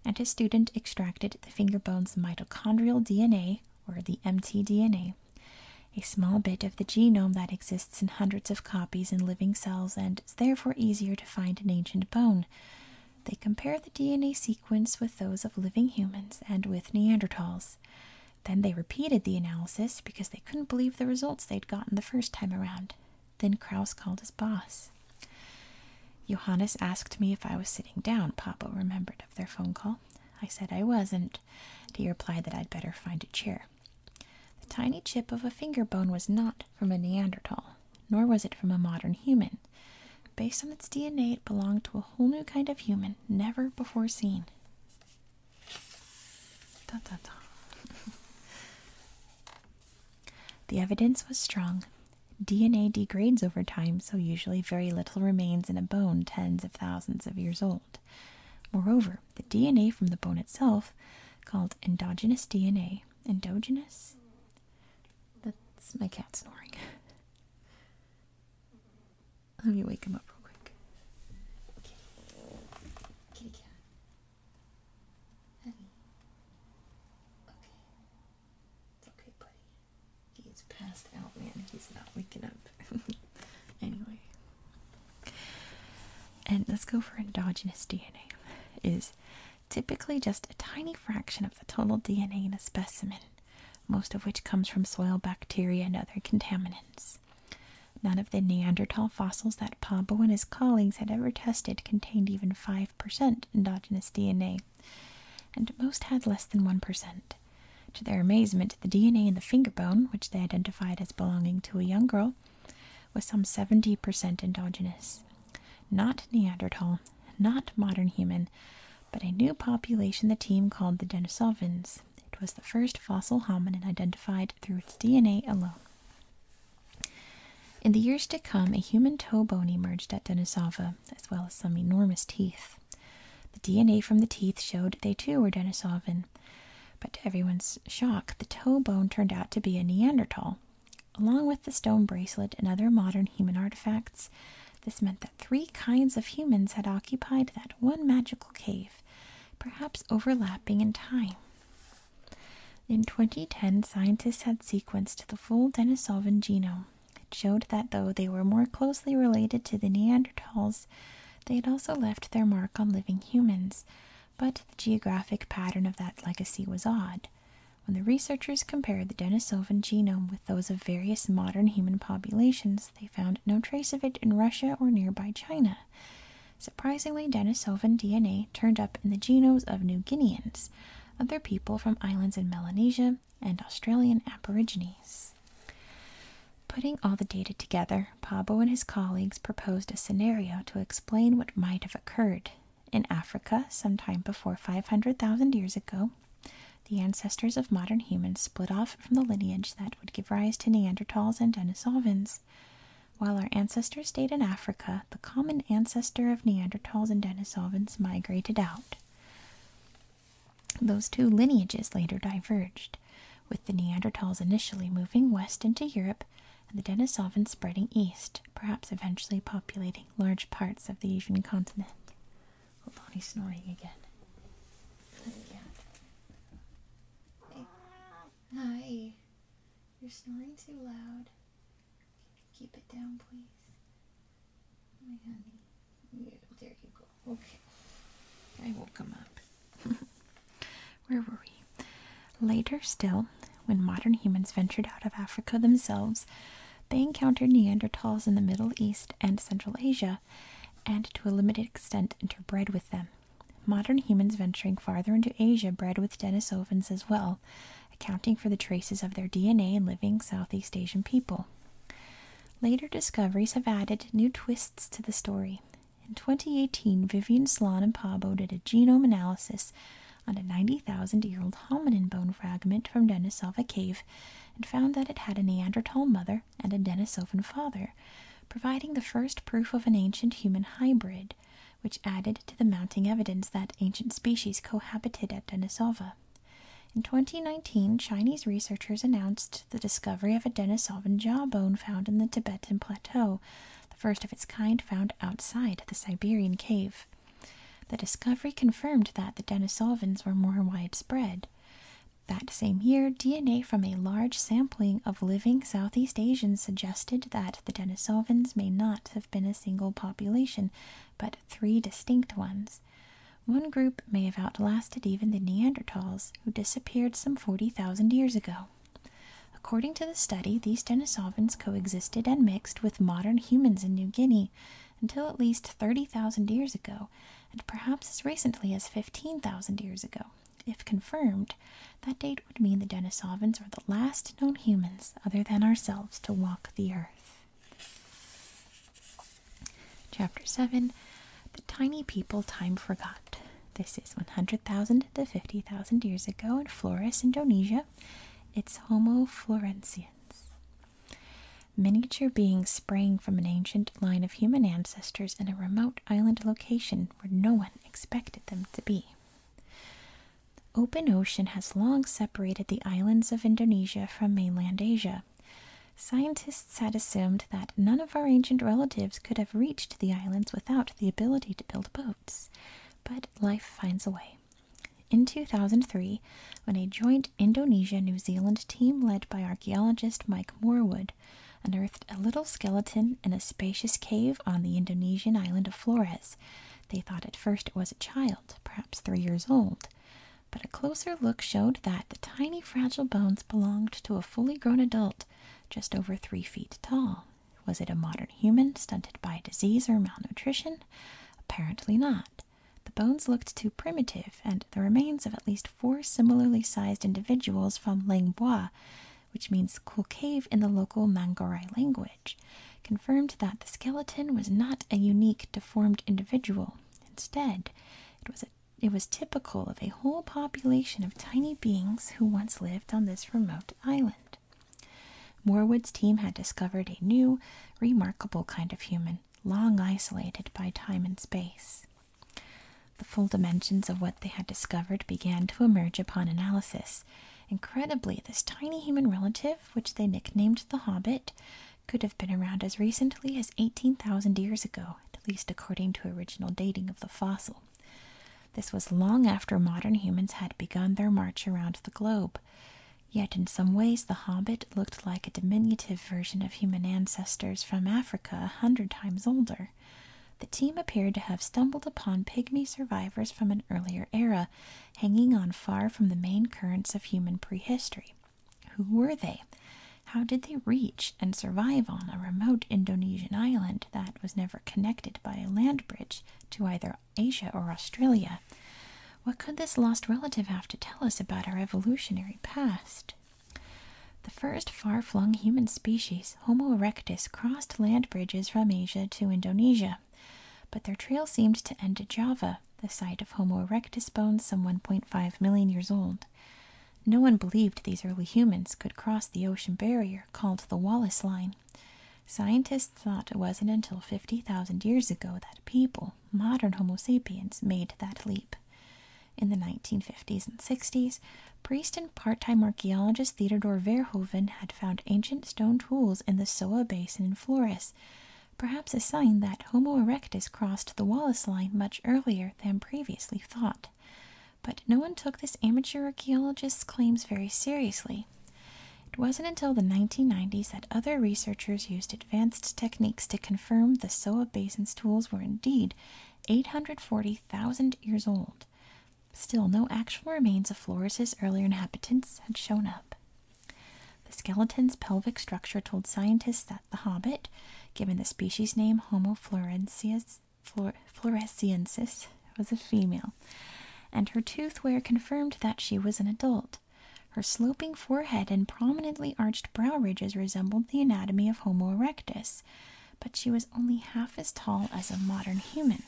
and his student extracted the finger bone's mitochondrial DNA, or the mtDNA, a small bit of the genome that exists in hundreds of copies in living cells and is therefore easier to find in ancient bone, they compare the DNA sequence with those of living humans and with Neanderthals. Then they repeated the analysis because they couldn't believe the results they'd gotten the first time around. Then Kraus called his boss. Johannes asked me if I was sitting down, Papa remembered of their phone call. I said I wasn't. He replied that I'd better find a chair. The tiny chip of a finger bone was not from a Neanderthal, nor was it from a modern human. Based on its DNA, it belonged to a whole new kind of human, never before seen. *laughs* the evidence was strong. DNA degrades over time, so usually very little remains in a bone tens of thousands of years old. Moreover, the DNA from the bone itself, called endogenous DNA, endogenous? That's my cat snoring. Let me wake him up real quick. Kitty. cat. Okay. It's okay, buddy. He's passed out, man. He's not waking up. *laughs* anyway. And let's go for endogenous DNA. Is typically just a tiny fraction of the total DNA in a specimen most of which comes from soil bacteria and other contaminants. None of the Neanderthal fossils that Pablo and his colleagues had ever tested contained even 5% endogenous DNA, and most had less than 1%. To their amazement, the DNA in the finger bone, which they identified as belonging to a young girl, was some 70% endogenous. Not Neanderthal, not modern human, but a new population the team called the Denisovans. It was the first fossil hominin identified through its DNA alone. In the years to come, a human toe bone emerged at Denisova, as well as some enormous teeth. The DNA from the teeth showed they too were Denisovan, but to everyone's shock, the toe bone turned out to be a Neanderthal. Along with the stone bracelet and other modern human artifacts, this meant that three kinds of humans had occupied that one magical cave, perhaps overlapping in time. In 2010, scientists had sequenced the full Denisovan genome. It showed that though they were more closely related to the Neanderthals, they had also left their mark on living humans, but the geographic pattern of that legacy was odd. When the researchers compared the Denisovan genome those of various modern human populations, they found no trace of it in Russia or nearby China. Surprisingly, Denisovan DNA turned up in the genomes of New Guineans, other people from islands in Melanesia, and Australian Aborigines. Putting all the data together, Pabo and his colleagues proposed a scenario to explain what might have occurred. In Africa, some time before 500,000 years ago, the ancestors of modern humans split off from the lineage that would give rise to Neanderthals and Denisovans. While our ancestors stayed in Africa, the common ancestor of Neanderthals and Denisovans migrated out. Those two lineages later diverged, with the Neanderthals initially moving west into Europe and the Denisovans spreading east, perhaps eventually populating large parts of the Asian continent. Hold on, he's snoring again. Hi. You're snoring too loud. Keep it down, please. Oh my honey. there you go. Okay. I woke him up. *laughs* Where were we? Later still, when modern humans ventured out of Africa themselves, they encountered Neanderthals in the Middle East and Central Asia, and to a limited extent interbred with them. Modern humans venturing farther into Asia bred with Denisovans as well, accounting for the traces of their DNA in living Southeast Asian people. Later discoveries have added new twists to the story. In 2018, Vivian Sloan and Pablo did a genome analysis on a 90,000 year old hominin bone fragment from Denisova Cave and found that it had a Neanderthal mother and a Denisovan father, providing the first proof of an ancient human hybrid, which added to the mounting evidence that ancient species cohabited at Denisova. In 2019, Chinese researchers announced the discovery of a Denisovan jawbone found in the Tibetan Plateau, the first of its kind found outside the Siberian cave. The discovery confirmed that the Denisovans were more widespread. That same year, DNA from a large sampling of living Southeast Asians suggested that the Denisovans may not have been a single population, but three distinct ones. One group may have outlasted even the Neanderthals, who disappeared some 40,000 years ago. According to the study, these Denisovans coexisted and mixed with modern humans in New Guinea, until at least 30,000 years ago, and perhaps as recently as 15,000 years ago. If confirmed, that date would mean the Denisovans are the last known humans other than ourselves to walk the earth. Chapter 7 The Tiny People Time Forgot. This is 100,000 to 50,000 years ago in Flores, Indonesia. It's Homo floresiensis. Miniature beings sprang from an ancient line of human ancestors in a remote island location where no one expected them to be. open ocean has long separated the islands of Indonesia from mainland Asia. Scientists had assumed that none of our ancient relatives could have reached the islands without the ability to build boats, but life finds a way. In 2003, when a joint Indonesia New Zealand team led by archaeologist Mike Moorwood unearthed a little skeleton in a spacious cave on the Indonesian island of Flores. They thought at first it was a child, perhaps three years old, but a closer look showed that the tiny fragile bones belonged to a fully grown adult just over three feet tall. Was it a modern human stunted by disease or malnutrition? Apparently not. The bones looked too primitive, and the remains of at least four similarly sized individuals from Langbois, which means cool cave in the local Mangorai language, confirmed that the skeleton was not a unique deformed individual. Instead, it was, it was typical of a whole population of tiny beings who once lived on this remote island. Moorwood's team had discovered a new, remarkable kind of human, long isolated by time and space. The full dimensions of what they had discovered began to emerge upon analysis. Incredibly, this tiny human relative, which they nicknamed the Hobbit, could have been around as recently as 18,000 years ago, at least according to original dating of the fossil. This was long after modern humans had begun their march around the globe. Yet, in some ways, the Hobbit looked like a diminutive version of human ancestors from Africa a hundred times older. The team appeared to have stumbled upon pygmy survivors from an earlier era, hanging on far from the main currents of human prehistory. Who were they? How did they reach and survive on a remote Indonesian island that was never connected by a land bridge to either Asia or Australia? What could this lost relative have to tell us about our evolutionary past? The first far flung human species, Homo erectus, crossed land bridges from Asia to Indonesia, but their trail seemed to end at Java, the site of Homo erectus bones some 1.5 million years old. No one believed these early humans could cross the ocean barrier called the Wallace Line. Scientists thought it wasn't until 50,000 years ago that people, modern Homo sapiens, made that leap. In the 1950s and 60s, priest and part time archaeologist Theodor Verhoeven had found ancient stone tools in the Soa Basin in Flores, perhaps a sign that Homo erectus crossed the Wallace Line much earlier than previously thought. But no one took this amateur archaeologist's claims very seriously. It wasn't until the 1990s that other researchers used it advanced techniques to confirm the Soa Basin's tools were indeed 840,000 years old. Still, no actual remains of Flores's earlier inhabitants had shown up. The skeleton's pelvic structure told scientists that the hobbit, given the species name Homo floresiensis, Flor floresiensis was a female, and her tooth wear confirmed that she was an adult. Her sloping forehead and prominently arched brow ridges resembled the anatomy of Homo erectus, but she was only half as tall as a modern human,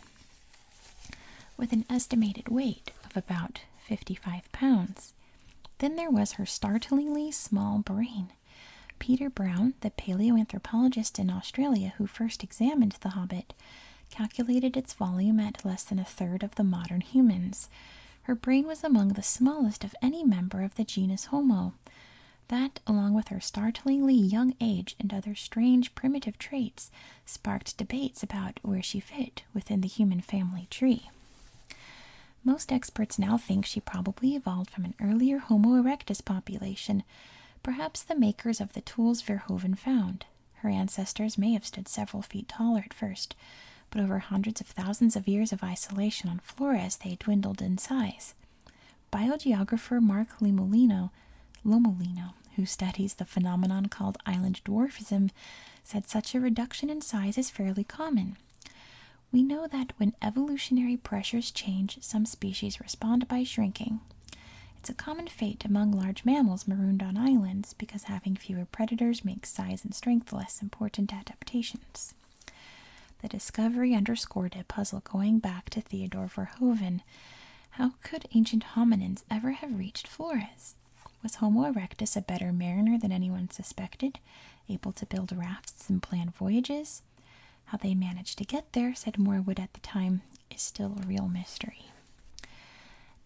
with an estimated weight of about 55 pounds. Then there was her startlingly small brain. Peter Brown, the paleoanthropologist in Australia who first examined the Hobbit, calculated its volume at less than a third of the modern humans. Her brain was among the smallest of any member of the genus Homo. That, along with her startlingly young age and other strange primitive traits, sparked debates about where she fit within the human family tree. Most experts now think she probably evolved from an earlier Homo erectus population, perhaps the makers of the tools Verhoeven found. Her ancestors may have stood several feet taller at first, but over hundreds of thousands of years of isolation on Flores, they dwindled in size. Biogeographer Mark Lomolino, Lomolino, who studies the phenomenon called island dwarfism, said such a reduction in size is fairly common. We know that when evolutionary pressures change, some species respond by shrinking. It's a common fate among large mammals marooned on islands because having fewer predators makes size and strength less important adaptations. The discovery underscored a puzzle going back to Theodore Verhoven. How could ancient hominins ever have reached Flores? Was Homo erectus a better mariner than anyone suspected, able to build rafts and plan voyages? How they managed to get there, said Morwood at the time, is still a real mystery.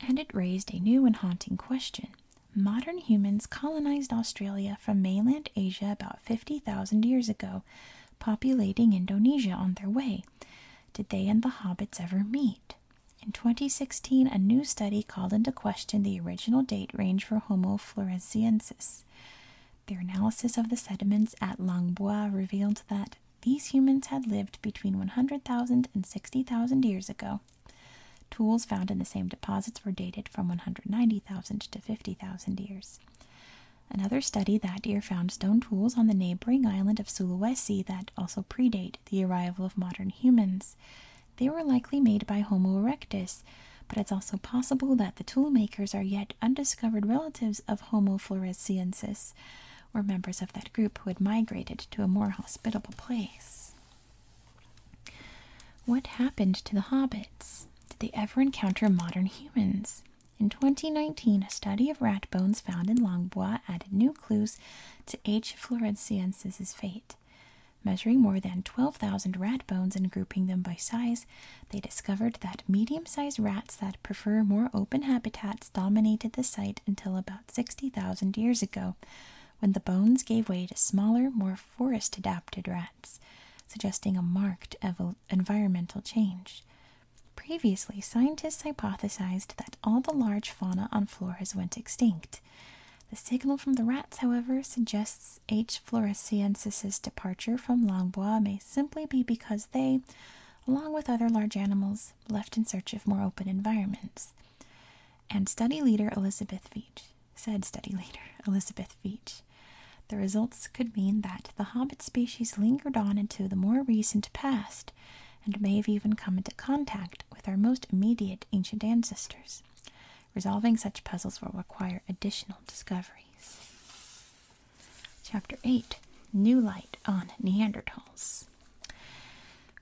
And it raised a new and haunting question Modern humans colonized Australia from mainland Asia about 50,000 years ago, populating Indonesia on their way. Did they and the hobbits ever meet? In 2016, a new study called into question the original date range for Homo floresiensis. Their analysis of the sediments at Langbois revealed that these humans had lived between 100,000 and 60,000 years ago. Tools found in the same deposits were dated from 190,000 to 50,000 years. Another study that year found stone tools on the neighboring island of Sulawesi that also predate the arrival of modern humans. They were likely made by Homo erectus, but it's also possible that the tool makers are yet undiscovered relatives of Homo floresiensis, or members of that group who had migrated to a more hospitable place. What happened to the hobbits? Did they ever encounter modern humans? In 2019, a study of rat bones found in Langbois added new clues to H. floresiensis' fate. Measuring more than 12,000 rat bones and grouping them by size, they discovered that medium sized rats that prefer more open habitats dominated the site until about 60,000 years ago, when the bones gave way to smaller, more forest adapted rats suggesting a marked environmental change. Previously, scientists hypothesized that all the large fauna on Flores went extinct. The signal from the rats, however, suggests H. floresiensis's departure from Langbois may simply be because they, along with other large animals, left in search of more open environments. And study leader Elizabeth Veach said study leader Elizabeth Veach. The results could mean that the hobbit species lingered on into the more recent past and may have even come into contact with our most immediate ancient ancestors. Resolving such puzzles will require additional discoveries. Chapter 8 New Light on Neanderthals.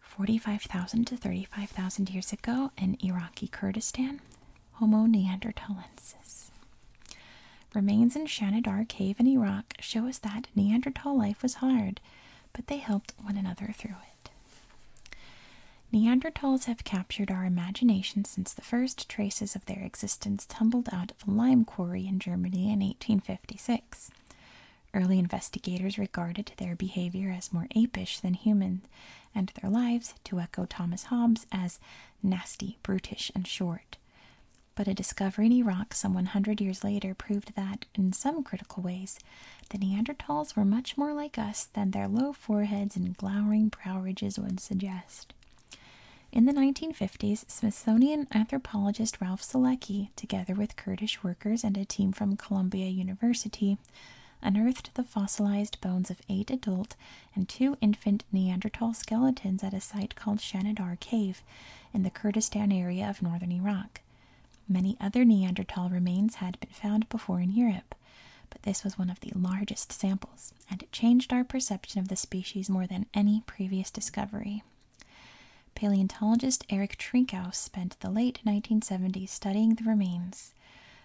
45,000 to 35,000 years ago in Iraqi Kurdistan, Homo neanderthalensis. Remains in Shanidar Cave in Iraq show us that Neanderthal life was hard, but they helped one another through it. Neanderthals have captured our imagination since the first traces of their existence tumbled out of a lime quarry in Germany in 1856. Early investigators regarded their behavior as more apish than human, and their lives, to echo Thomas Hobbes as nasty, brutish, and short. But a discovery in Iraq some 100 years later proved that, in some critical ways, the Neanderthals were much more like us than their low foreheads and glowering brow ridges would suggest. In the 1950s, Smithsonian anthropologist Ralph Selecki, together with Kurdish workers and a team from Columbia University, unearthed the fossilized bones of eight adult and two infant Neanderthal skeletons at a site called Shanidar Cave in the Kurdistan area of northern Iraq. Many other Neanderthal remains had been found before in Europe, but this was one of the largest samples, and it changed our perception of the species more than any previous discovery. Paleontologist Eric Trinkaus spent the late 1970s studying the remains.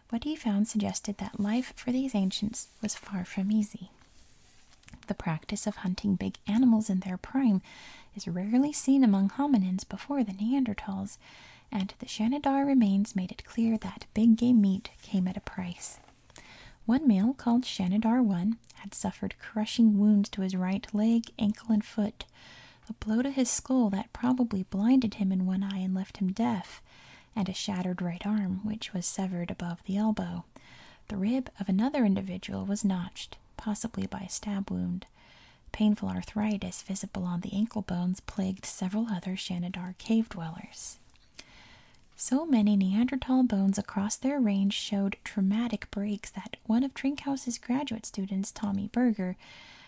What he found suggested that life for these ancients was far from easy. The practice of hunting big animals in their prime is rarely seen among hominins before the Neanderthals, and the Shanidar remains made it clear that big game meat came at a price. One male called Shanidar 1 had suffered crushing wounds to his right leg, ankle, and foot, a blow to his skull that probably blinded him in one eye and left him deaf, and a shattered right arm, which was severed above the elbow. The rib of another individual was notched, possibly by a stab wound. Painful arthritis visible on the ankle bones plagued several other Shanidar cave dwellers. So many Neanderthal bones across their range showed traumatic breaks that one of Trinkhaus's graduate students, Tommy Berger,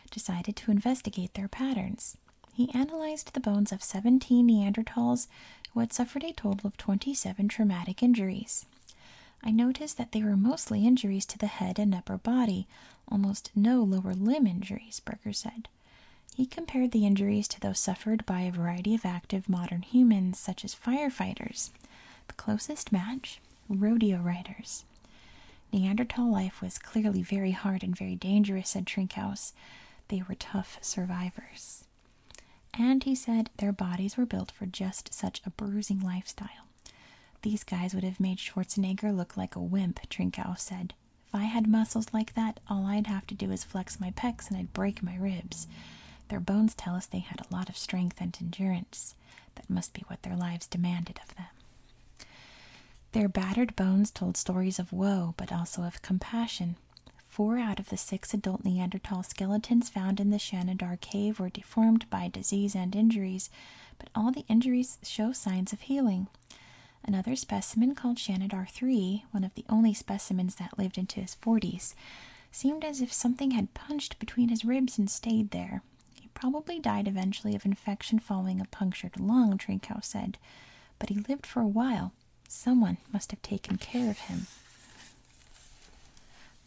decided to investigate their patterns. He analyzed the bones of 17 Neanderthals who had suffered a total of 27 traumatic injuries. I noticed that they were mostly injuries to the head and upper body, almost no lower limb injuries, Berger said. He compared the injuries to those suffered by a variety of active modern humans, such as firefighters. The closest match rodeo riders. Neanderthal life was clearly very hard and very dangerous, said Trinkhaus they were tough survivors. And he said their bodies were built for just such a bruising lifestyle. These guys would have made Schwarzenegger look like a wimp, Trinkow said. If I had muscles like that, all I'd have to do is flex my pecs and I'd break my ribs. Their bones tell us they had a lot of strength and endurance. That must be what their lives demanded of them. Their battered bones told stories of woe, but also of compassion. Four out of the six adult Neanderthal skeletons found in the Shanidar cave were deformed by disease and injuries, but all the injuries show signs of healing. Another specimen called Shanidar 3, one of the only specimens that lived into his 40s, seemed as if something had punched between his ribs and stayed there. He probably died eventually of infection following a punctured lung, Trinkow said but he lived for a while. Someone must have taken care of him.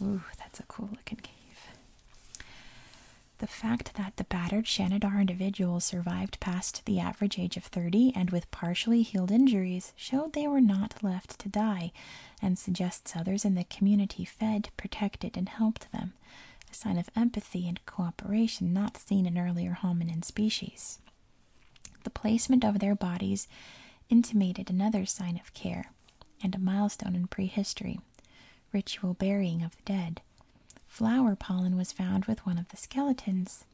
Ooh, that's a cool looking cave. The fact that the battered Shanidar individuals survived past the average age of 30 and with partially healed injuries showed they were not left to die and suggests others in the community fed, protected, and helped them, a sign of empathy and cooperation not seen in earlier hominin species. The placement of their bodies intimated another sign of care and a milestone in prehistory ritual burying of the dead. Flower pollen was found with one of the skeletons.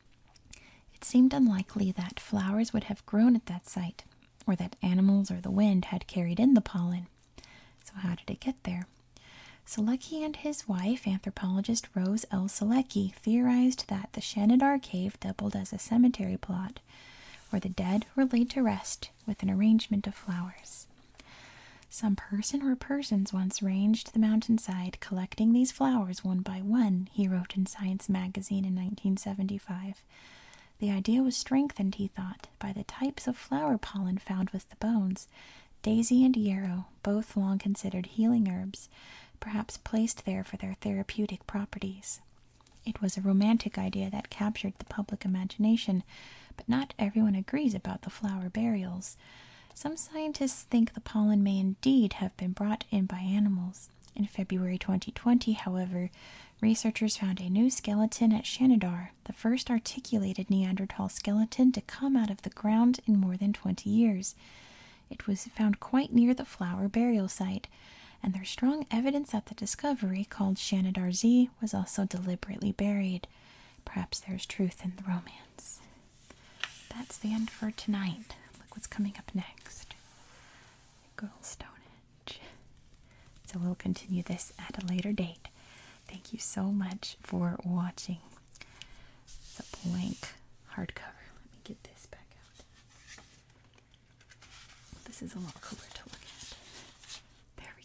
It seemed unlikely that flowers would have grown at that site, or that animals or the wind had carried in the pollen. So, how did it get there? Selecki and his wife, anthropologist Rose L. Selecki, theorized that the Shenandoah Cave doubled as a cemetery plot where the dead were laid to rest with an arrangement of flowers. Some person or persons once ranged the mountainside collecting these flowers one by one, he wrote in Science magazine in 1975. The idea was strengthened, he thought, by the types of flower pollen found with the bones, Daisy and yarrow, both long considered healing herbs, perhaps placed there for their therapeutic properties. It was a romantic idea that captured the public imagination, but not everyone agrees about the flower burials. Some scientists think the pollen may indeed have been brought in by animals. In February 2020, however, researchers found a new skeleton at Shanidar, the first articulated Neanderthal skeleton to come out of the ground in more than 20 years. It was found quite near the flower burial site, and there's strong evidence that the discovery, called Shanadarzi, was also deliberately buried. Perhaps there's truth in the romance. That's the end for tonight. Look what's coming up next. Girl Stonehenge. So we'll continue this at a later date. Thank you so much for watching. It's a blank hardcover. Let me get this back out. This is a lot cooler to look at. There we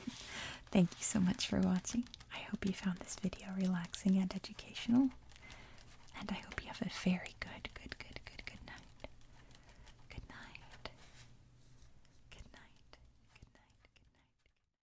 go. *laughs* Thank you so much for watching. I hope you found this video relaxing and educational. And I hope you have a very good, good, good, good, good night. Good night. Good night. Good night. Good night. Good night.